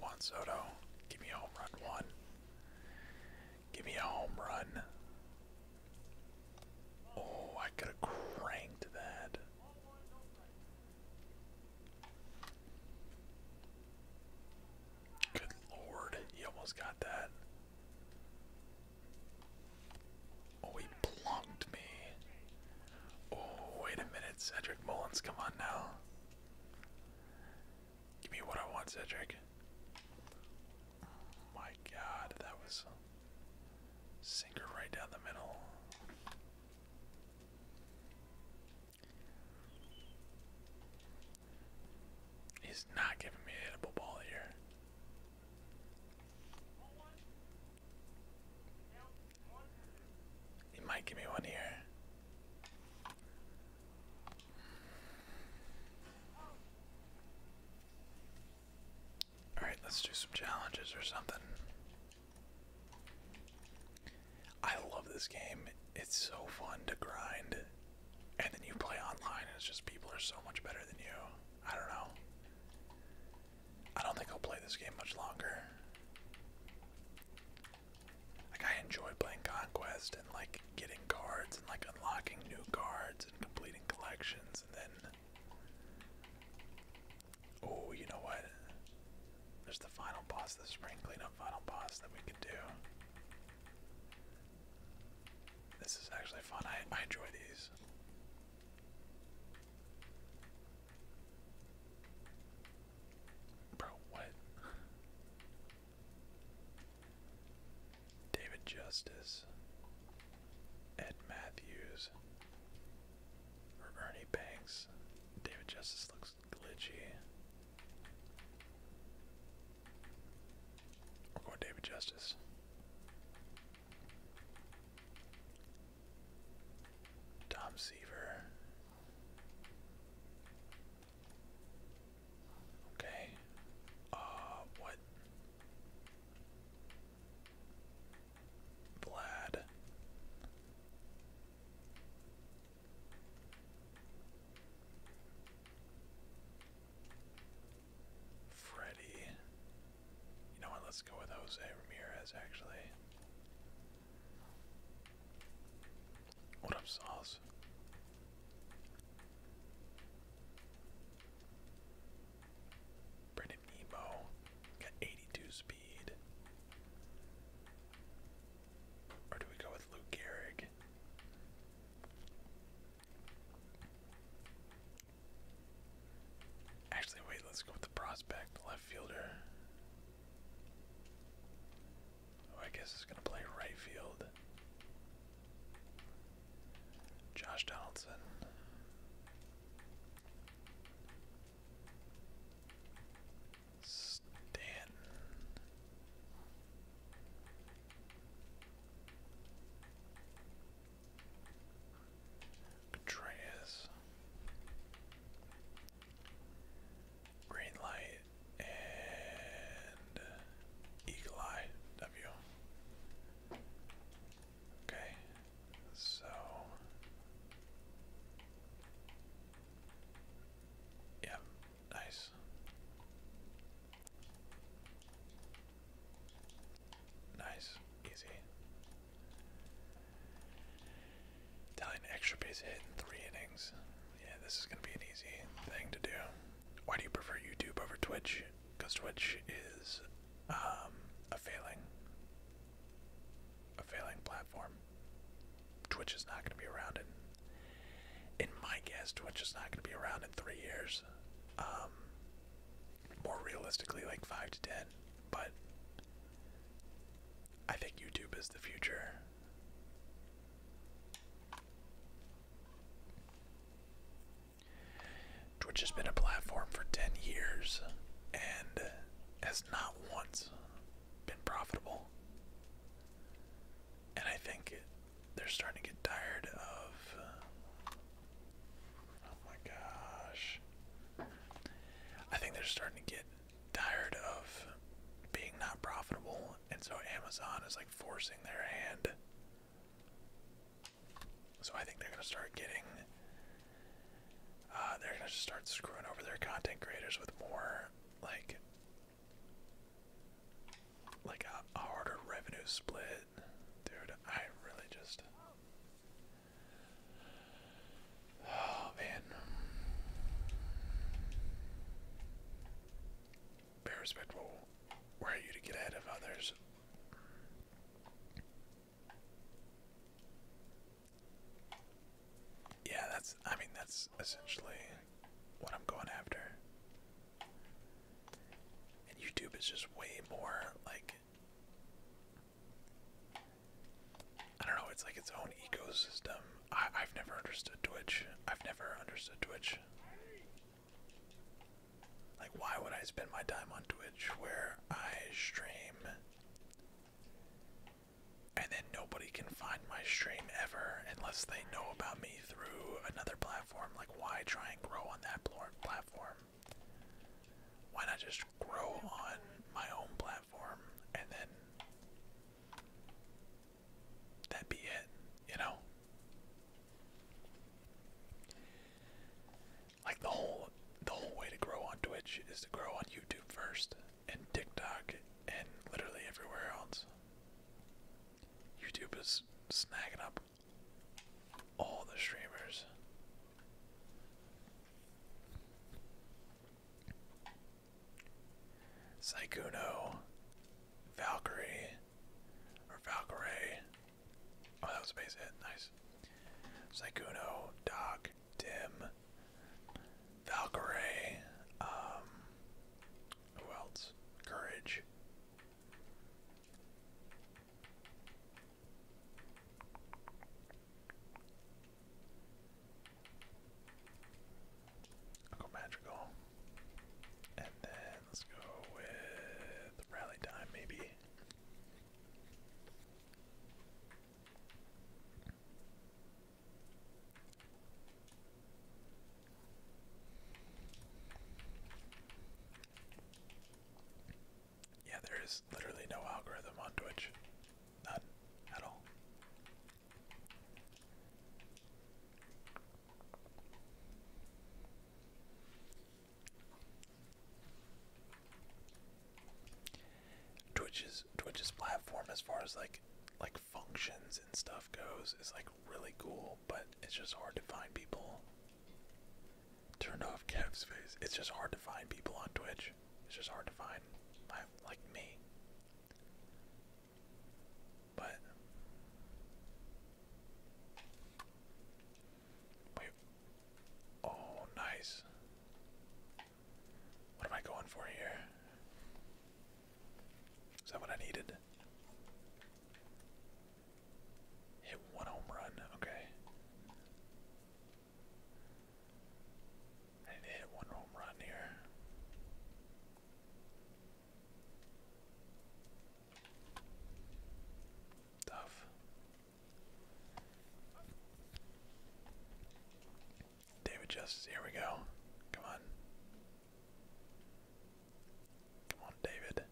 Juan Soto, give me a home run, One, Give me a home run. Oh, I could have cranked that. Good lord, he almost got that. Oh, he plunked me. Oh, wait a minute, Cedric Mullins, come on now. Give me what I want, Cedric. Oh my god, that was sinker right down the middle. He's not giving me a edible ball here. He might give me one here. Alright, let's do some challenges or something. I love this game. It's so fun to grind. And then you play online and it's just people are so much better than you. I don't know. I don't think I'll play this game much longer. Like I enjoy playing Conquest and like getting cards and like unlocking new cards and completing collections and then Oh, you know what? There's the final boss, the spring cleanup final boss that we can do. This is actually fun. I, I enjoy these. Bro, what? David Justice, Ed Matthews, or Ernie Banks. David Justice looks glitchy. We're going David Justice. Tom Seaver. Okay. Uh, what? Vlad. Freddy. You know what? Let's go with Jose Ramirez, actually. What up, Sauce? Brendan Emo got 82 speed. Or do we go with Luke Gehrig? Actually, wait, let's go with the prospect, left fielder. Oh, I guess it's going to play right field. Josh Donaldson. Stanton. Contreras. Green light and Eagle Eye W. Okay, so yeah, Nice. Nice. Easy. Italian extra base hit in three innings. Yeah, this is going to be an easy thing to do. Why do you prefer YouTube over Twitch? Because Twitch is um, a failing, a failing platform. Twitch is not going to be around in, in my guess, Twitch is not going to be around in three years. Um, more realistically, like five to ten. But I think YouTube is the future. Twitch has been a platform for 10 years and has not once been profitable and I think they're starting to get tired of. Uh, oh my gosh! I think they're starting to get tired of being not profitable, and so Amazon is like forcing their hand. So I think they're gonna start getting. Uh, they're gonna just start screwing over their content creators with more like like a, harder revenue split. Dude, I really just Oh man. respectful. Where are you to get ahead of others? Yeah, that's I mean that's essentially what I'm going after. And YouTube is just way more like I don't know, it's like its own ecosystem. I I've never understood Twitch. I've never understood Twitch. Like why would I spend my time on Twitch where I stream and then nobody can find my stream ever unless they know about me through another platform, like why try and grow on that platform? Why not just grow on my own platform and then that would be it, you know? Like the whole the whole way to grow on Twitch is to grow on YouTube first and TikTok and literally everywhere else. YouTube is snagging up all the streamers. Saikuno, Valkyrie, or Valkyrie. Oh, that was a Nice. Saikuno, Doc, Tim, Valkyrie, um, who else? Courage. magical. And then let's go with rally time, maybe. Yeah, there is literally no algorithm on Twitch. None at all. Twitch's Twitch's platform as far as like like functions and stuff goes is like really cool people, but it's just hard to find people. Turn off Kev's face. It's just hard to find people on Twitch. It's just hard to find like me. But wait. Oh, nice. What am I going for here? Is that what I needed? Hit one home run, okay. I need to hit one home run here. Tough. David Justice, here we go. Come on. Come on, David.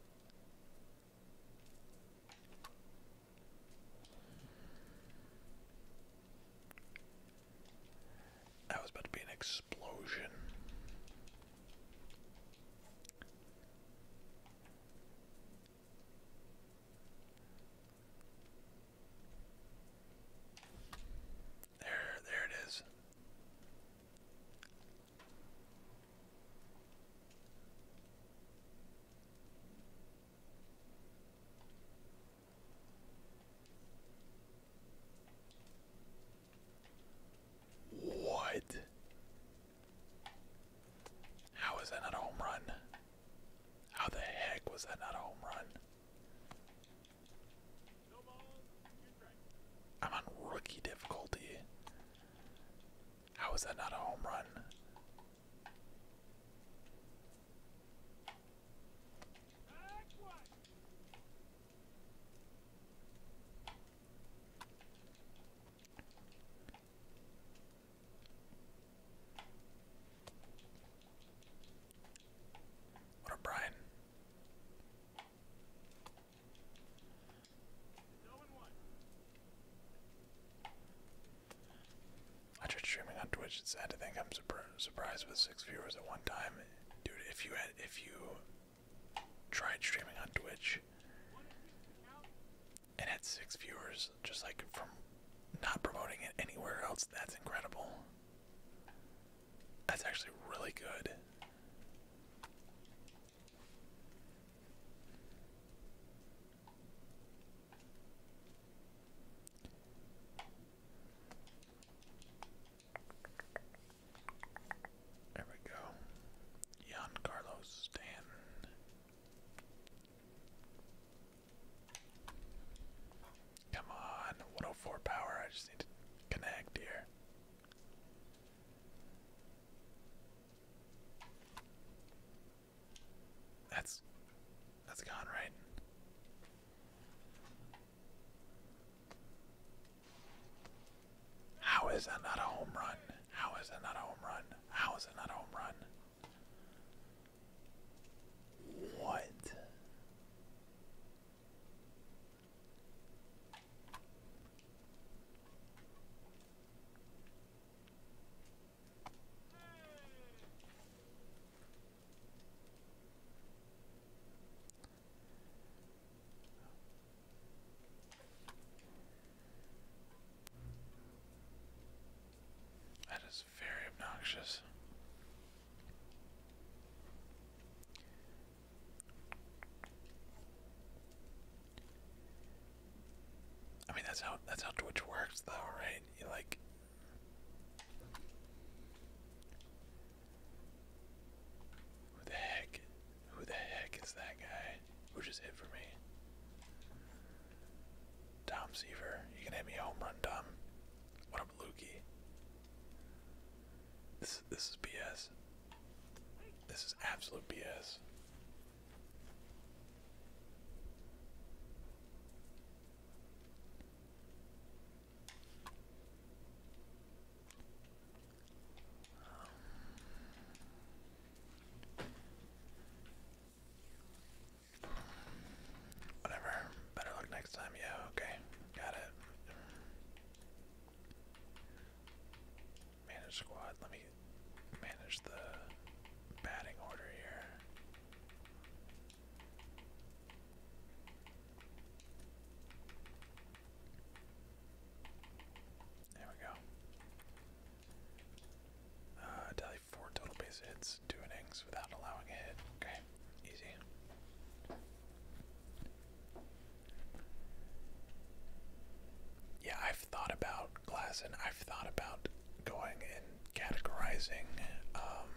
That was about to be an explosion. There, there it is. What? How is that not a home run? How the heck was that not a home run? I'm on rookie difficulty. How is that not a home run? What a Brian. After streaming on Twitch, it's sad to think I'm surprised with six viewers at one time. Dude, if you had, if you tried streaming on Twitch and had six viewers, just like from not promoting it anywhere else, that's incredible. That's actually really good. There we go. Jan Carlos Come on, 104 power. I just need to connect here. That's that's gone, right? How is that not a home run? How is that not a home run? How is it not a home run? What? That is very obnoxious. I mean that's how that's how Twitch works though, right? You like Who the heck? Who the heck is that guy? Who just hit for me? Tom Seaver. You can hit me a home run, Tom. What up, Lukey? This this is BS. This is absolute BS. Whatever. Better luck next time. Yeah, okay. Got it. Manage squad. Let me manage the batting order here. There we go. Uh, tally four total base hits, two innings without allowing a hit. Okay, easy. Yeah, I've thought about class and I've thought about going and categorizing um,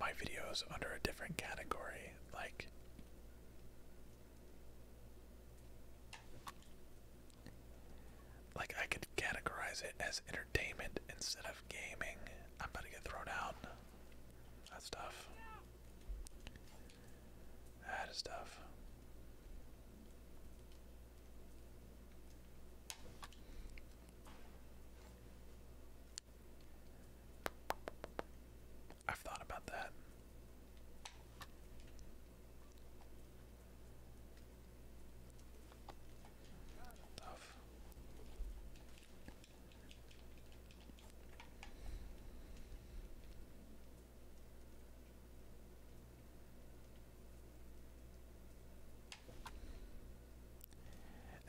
my videos under a different category, like like I could categorize it as entertainment instead of gaming. I'm about to get thrown out. That's tough. Ah, that is tough. I've thought about that. Tough.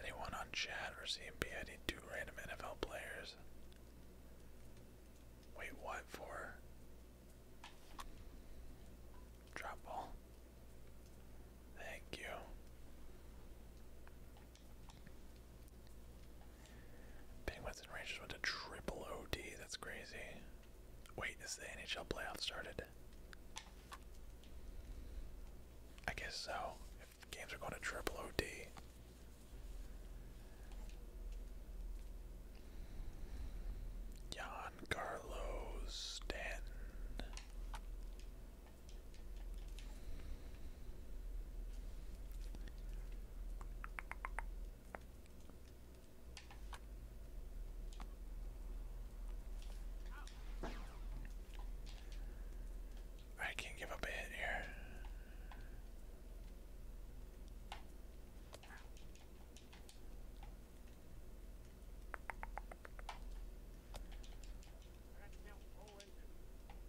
Anyone on chat or CMP? I need two random NFL players. Wait, what for? Drop ball. Thank you. Penguins and Rangers went to triple OD. That's crazy. Wait, is the NHL playoff started? I guess so. games are going to triple OD. Giancarlo Stanton. I can't give up a bit here.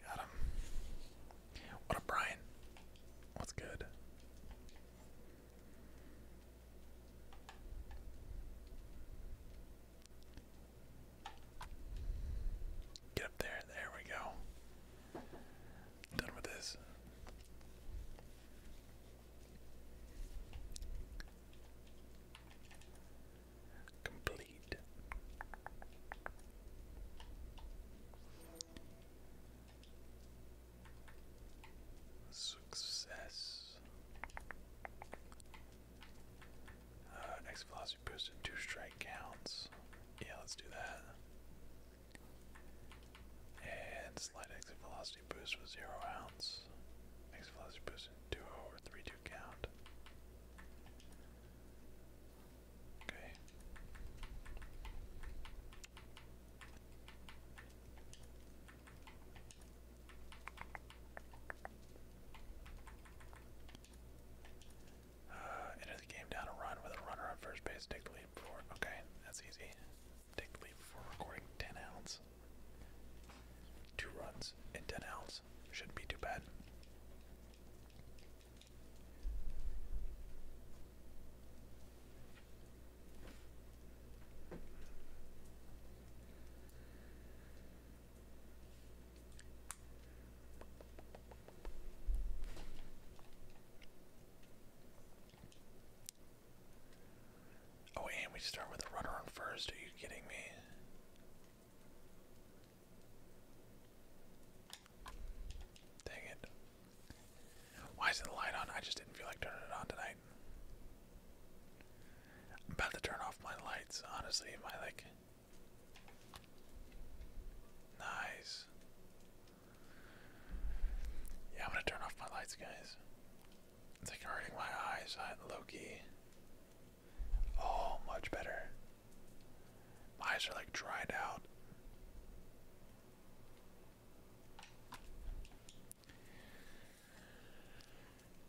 Got him. What up, Brian? What's good? Get up there. There we go. Done with this complete. Success. Uh, velocity boost and two strike counts. Yeah, let's do that. And slight exit velocity boost with zero ounce. Exit velocity boost in two or three two count. Okay. Uh, enter the game down a run with a runner on first base. Take the lead before. Okay, that's easy. Take the before recording 10 outs. Two runs in 10 outs. Shouldn't be too bad. Oh, and we start with a runner on first. Are you kidding me? Dang it. Why is the light on? I just didn't feel like turning it on tonight. I'm about to turn off my lights, honestly. Am like. Nice. Yeah, I'm gonna turn off my lights, guys. It's like hurting my eyes, Loki. Oh, much better. My eyes are like dried out.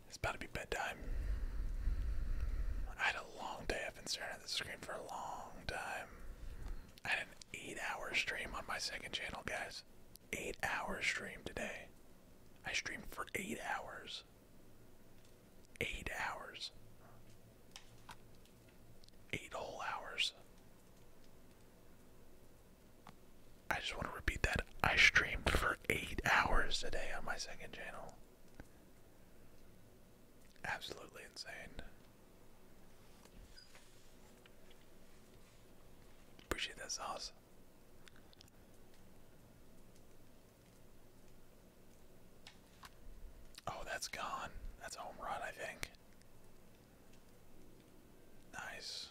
It's about to be bedtime. I had a long day. I've been staring at the screen for a long time. I had an eight hour stream on my second channel, guys. Eight hour stream today. I streamed for eight hours eight hours. Eight whole hours. I just want to repeat that. I streamed for eight hours today on my second channel. Absolutely insane. Appreciate that sauce. Oh, that's gone. That's a home run, I think. Nice.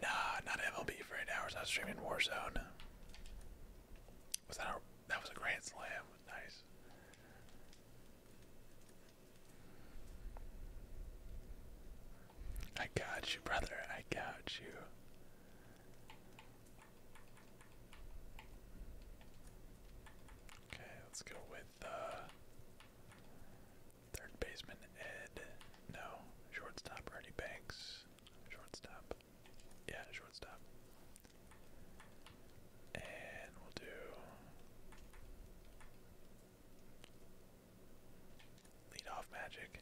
Nah, not MLB for eight hours. I was streaming Warzone. Was that that was a grand slam? Nice. I got you, brother. I got you. Okay, let's go with uh, third baseman Ed. No, shortstop Ernie Banks. Shortstop. Yeah, shortstop. And we'll do lead magic.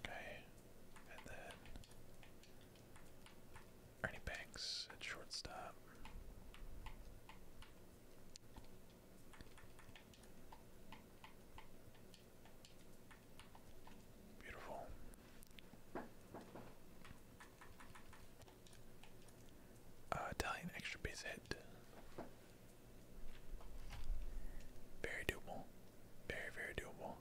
Okay, and then Ernie Banks at shortstop. Beautiful. Uh, Italian extra base Very doable. Very, very doable.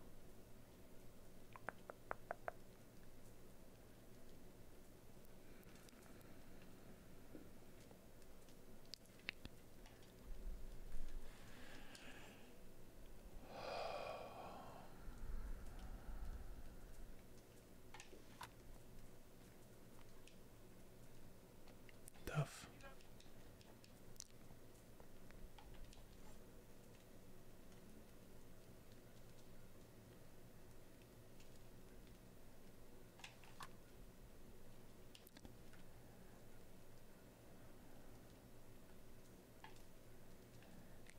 Tough.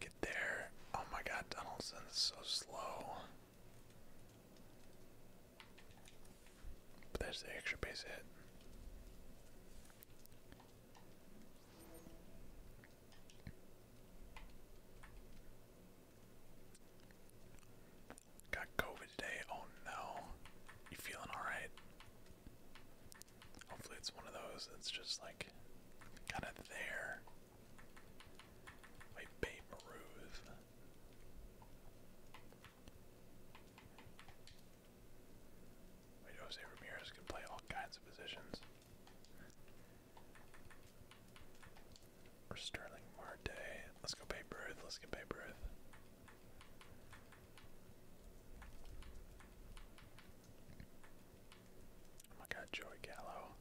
Get there. Oh my god, Donaldson's so slow. But there's the extra base hit. Got COVID today. Oh no. You feeling alright? Hopefully, it's one of those that's just like kind of there. Wait, Babe Ruth. Wait, Jose Ramirez can play all kinds of positions. Or Sterling Marte. Let's go Babe Ruth. Let's get Babe Ruth. Oh my god, Joey Gallo.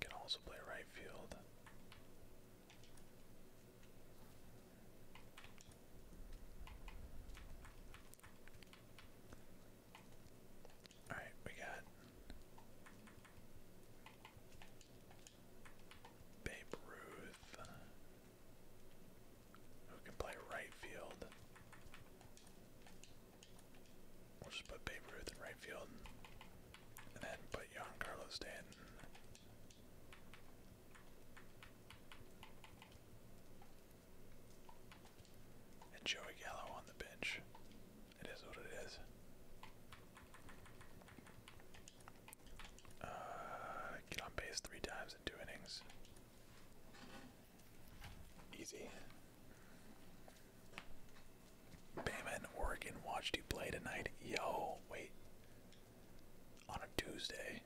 Can also play right field. All right, we got Babe Ruth, who can play right field. We'll just put Babe Ruth in right field. And then put Giancarlo Stanton. And Joey Gallo on the bench. It is what it is. Uh, get on base three times in two innings. Easy. Bama Oregon watched you play tonight. Yo, wait. On a Tuesday.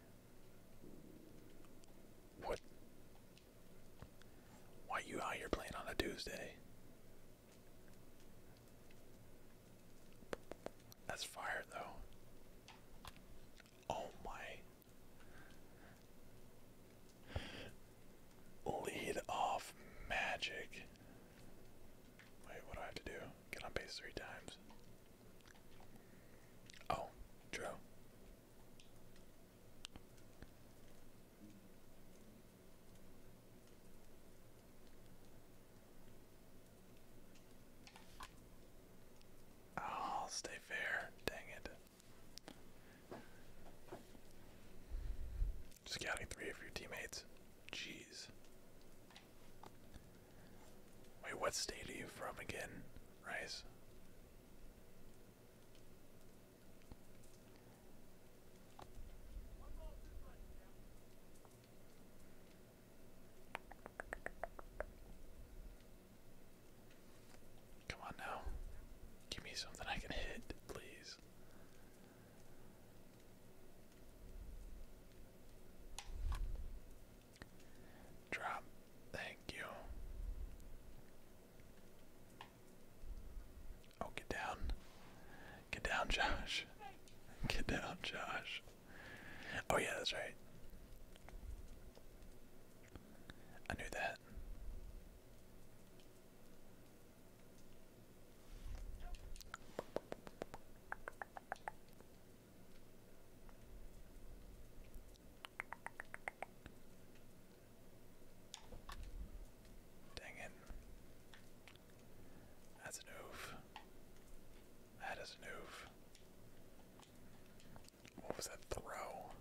What? Why you out here playing on a Tuesday? That's fire though. Oh my Lead off magic. Wait, what do I have to do? Get on base three times. Oh, true. I'll stay fair. Dang it. Scouting three of your teammates. Jeez. Wait, what state are you from again, Rice? Come on now. Give me something I can hit, please. Drop. Thank you. Oh, get down. Get down, Josh. Get down, Josh. Oh, yeah, that's right. I knew that. Dang it. That's an oof. That is an oof. What was that throw?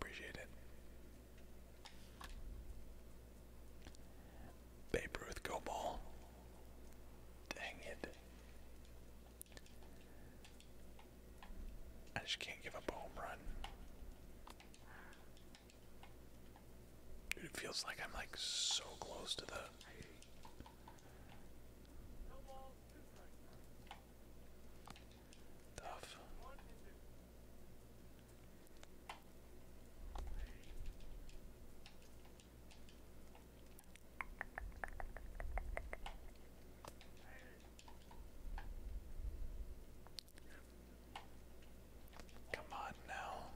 Appreciate it. Babe Ruth go ball. Dang it. I just can't give up a home run. it feels like I'm like so close to the Tough. Come on now.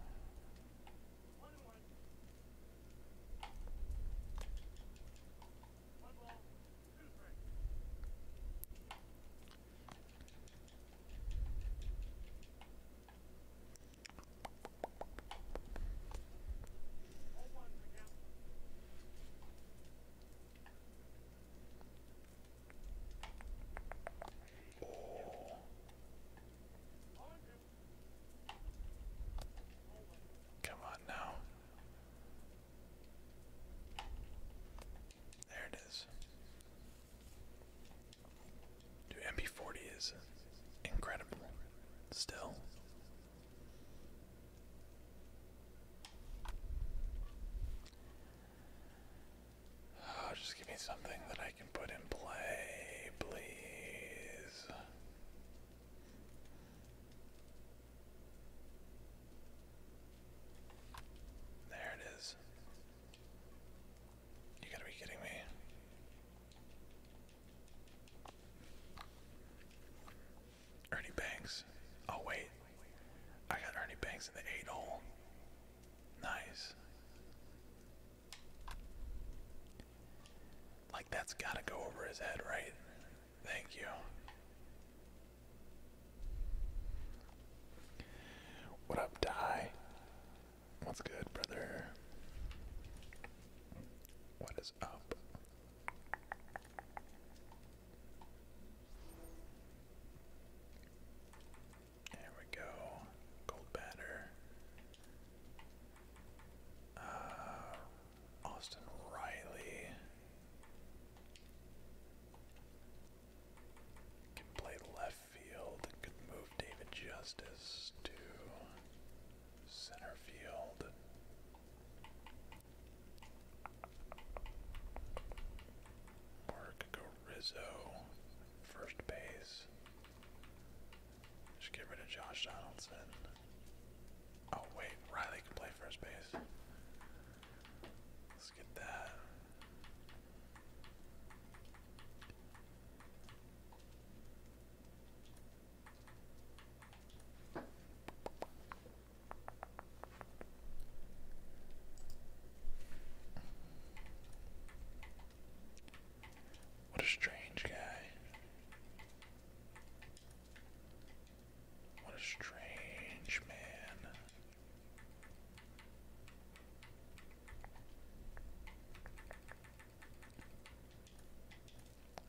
Oh. Come on now. There it is. Dude, MP40 is incredible. Still. Ah, just give me something that I can put in play, please. There it is. You gotta be kidding me. Ernie Banks. Oh, wait. I got Ernie Banks in the 8 hole. Nice. Like, that's gotta go over his head, right? Thank you. What up, Di? What's good, brother? What is up? There we go. Gold batter. Uh, Austin Riley. Can play left field and move David Justice to center field. Or could first base. Just get rid of Josh Donaldson. Oh wait, Riley can play first base. What a strange guy. What a strange man.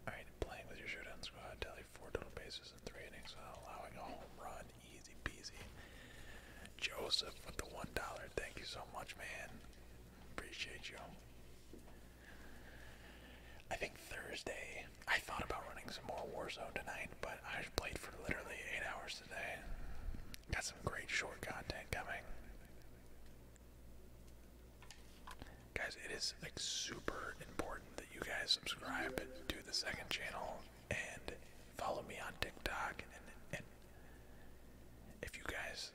Alright, playing with your showdown squad, tally four total bases and three innings while allowing a home run. Easy peasy. Joseph with the one dollar. Thank you so much, man. Appreciate you. I think Thursday I thought about running some more Warzone tonight, but I have played for literally eight hours Got some great short content coming. Guys, it is like super important that you guys subscribe to the second channel and follow me on TikTok and if you guys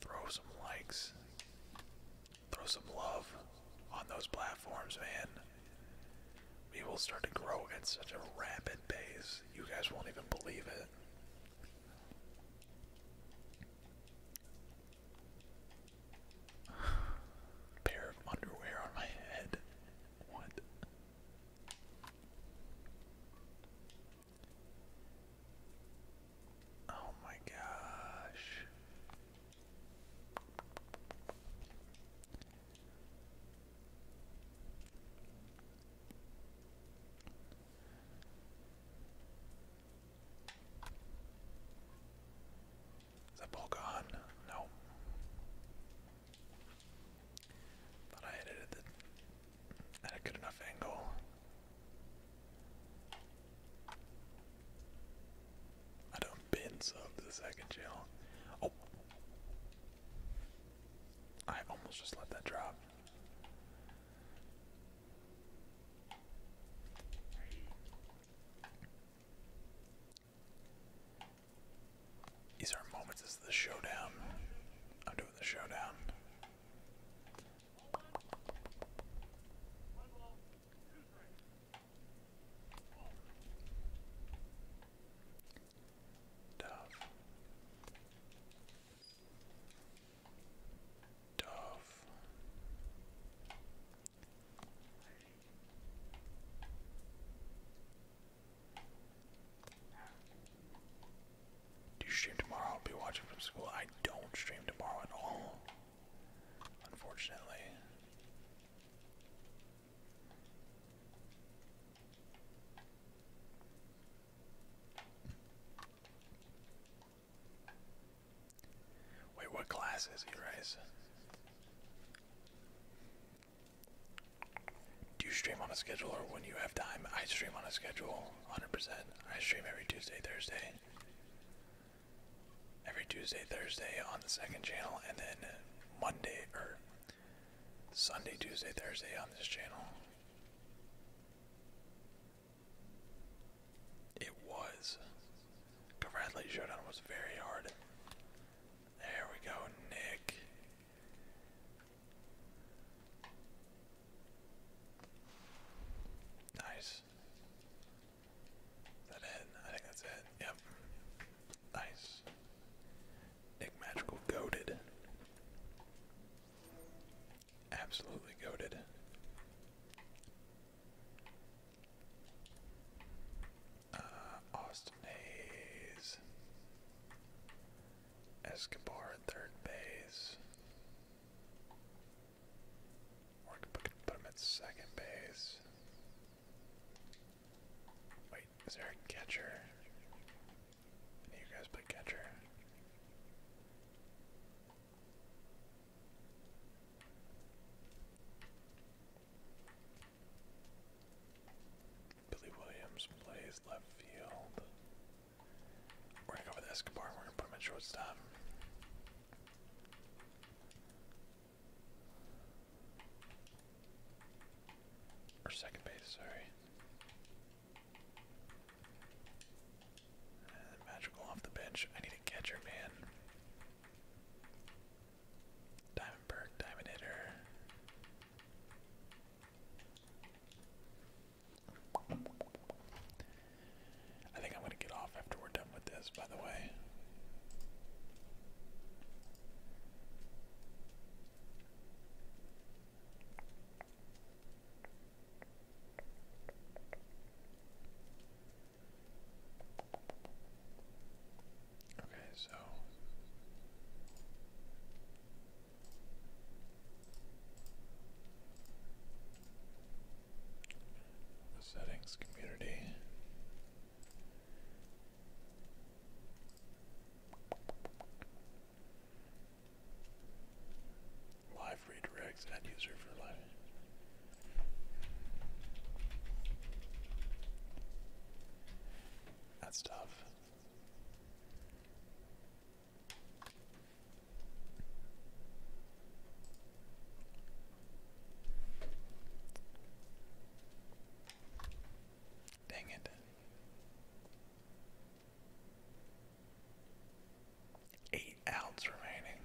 throw some likes, throw some love on those platforms, man we will start to grow at such a rapid pace. You guys won't even believe it. Pair of underwear on my head. What? Oh my gosh. Is that ball gone? No. Thought I hit it at, the, a good enough angle. I don't bin sub the second channel. Oh! I almost just let that drop. These are moments. This the showdown. I'm doing the showdown. Dove. Dove. Do you stream tomorrow? I'll be watching from school. I don't stream tomorrow at all. Unfortunately. Wait, what class is he, Rice? Do you stream on a schedule or when you have time? I stream on a schedule, 100%. I stream every Tuesday, Thursday. Every Tuesday, Thursday on the second channel, and then Monday, or Sunday, Tuesday, Thursday on this channel. It was. Congratulations, Showdown was very hard. There we go, Nick. Nice. Is it? I think that's it. Yep. Nice. Nick Magical goaded. Absolutely goaded. Uh, Austin Hayes. Escobar at third base. Or I could put, put him at second base. Wait, is there a catcher? You guys play catcher. Billy Williams plays left field. We're gonna go with Escobar. We're gonna put him at shortstop. Or second base, sorry magical off the bench. I need a catcher, man. Diamond diamond hitter. I think I'm gonna get off after we're done with this, by the way. Okay, so settings community. Live redirects ad user for life. That's tough. Dang it. Eight ounces remaining.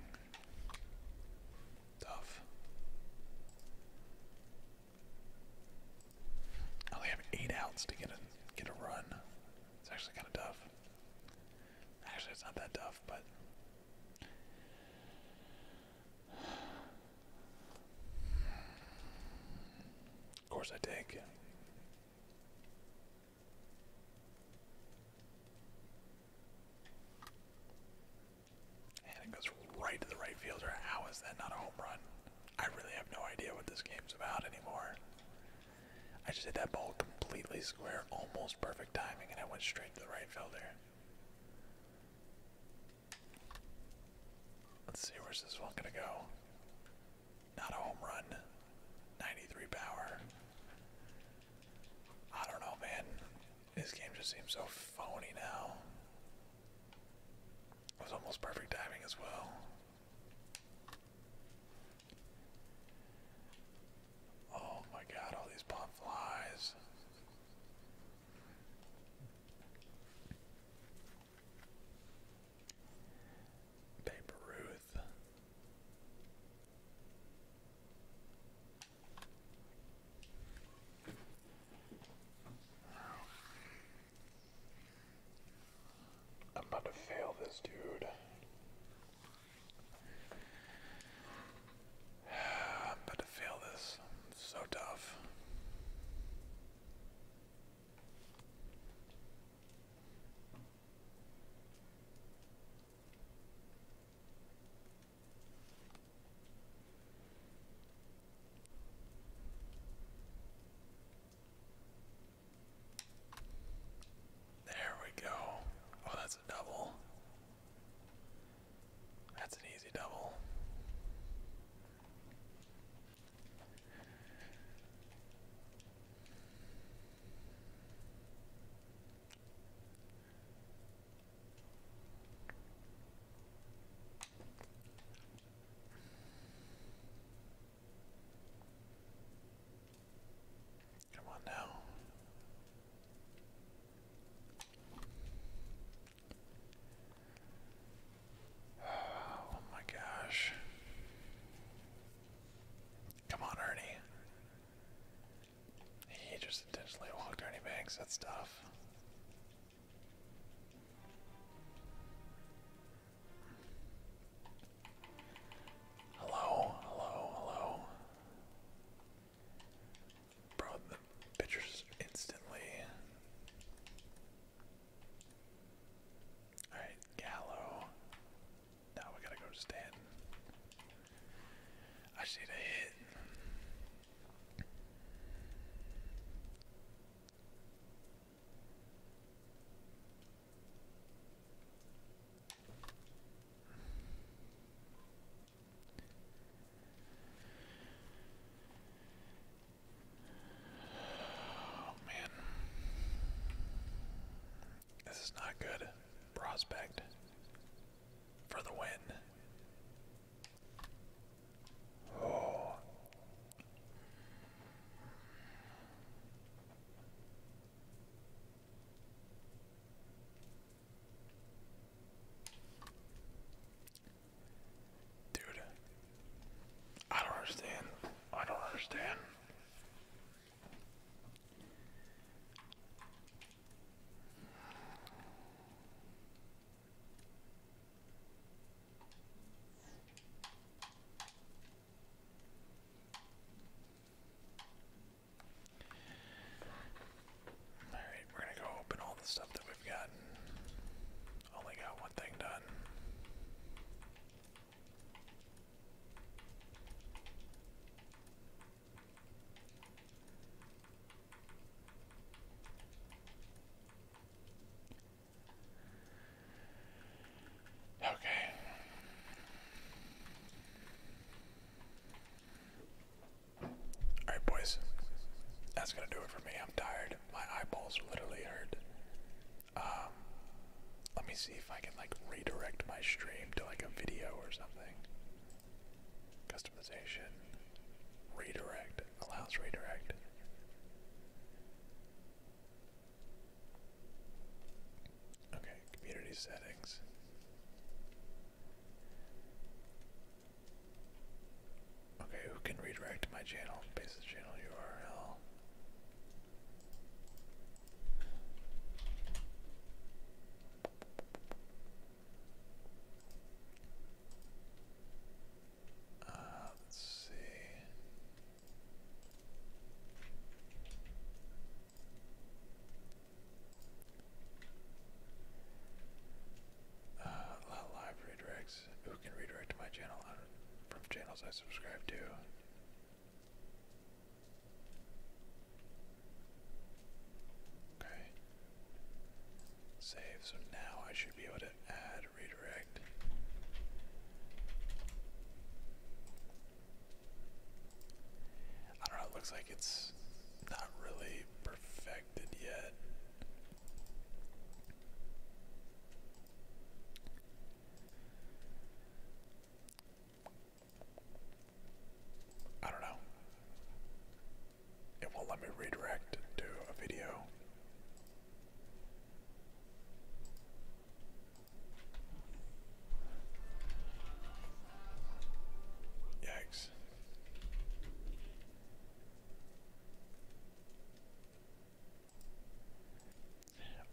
Tough. I only have eight outs to get a get a run. It's actually kind of tough. Actually, it's not that tough, but of course I take. And it goes right to the right fielder. How is that not a home run? I really have no idea what this game's about anymore. I just hit that ball completely square, almost perfect timing, and I went straight to the right fielder. Let's see where's this one gonna go. Not a home run. 93 power. I don't know, man. This game just seems so phony now. It was almost perfect timing as well. Oh my god, all these pop flies. Babe Ruth. I'm about to fail this dude. [sighs] I'm about to fail this. so tough. There we go. Oh, that's a double. That's an easy double. Come on now. Oh my gosh. Come on, Ernie. He just intentionally walked Ernie Banks. That's tough. Hello, hello, hello. Bro, pictures instantly Alright, Gallo. Now we gotta go to Stanton. I just need hit. Oh, man. This is not good. Prospect for the win. Oh. Dude, I don't understand. I don't understand. All right, we're gonna go open all the stuff that we've gotten. Only got one thing done. Okay. Alright, boys. That's gonna do it for me. I'm tired. My eyeballs literally hurt. Um, let me see if I can like redirect my stream to like a video or something. Customization, redirect allows redirect. Okay, community settings. Okay, who can redirect my channel? Basic channel URL. Uh, let's see. Uh, live redirects. Who can redirect to my channel from channels I subscribe to? Okay. Save. So now I should be able to add redirect. I don't know, it looks like it's not really perfected yet. I don't know. It won't let me redirect to a video. Yikes.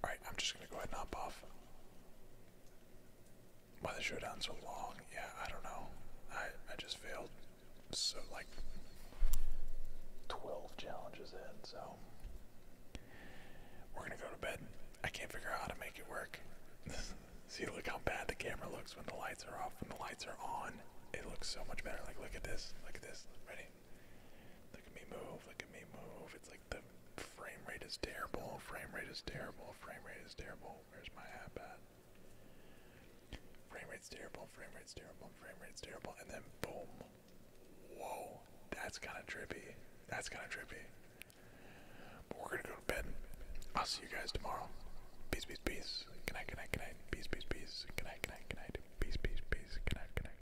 Alright, I'm just gonna go ahead and hop off. Why the showdown so long? Yeah, I don't know. I I just failed. So like 12 challenges in, so we're gonna go to bed. I can't figure out how to make it work. [laughs] See, look how bad the camera looks when the lights are off. When the lights are on, it looks so much better. Like, look at this. Look at this. Ready? Look at me move, look at me move. It's like the frame rate is terrible, frame rate is terrible, frame rate is terrible. Where's my app at? Frame rate's terrible, frame rate's terrible, frame rate's terrible, and then boom. Whoa, that's kind of trippy. That's kind of trippy. But we're gonna go to bed. I'll see you guys tomorrow. Peace, peace, peace. Good night, good night, good night. Peace, peace, peace. Good night, good night, good night. Peace, peace, peace. Good night, good night.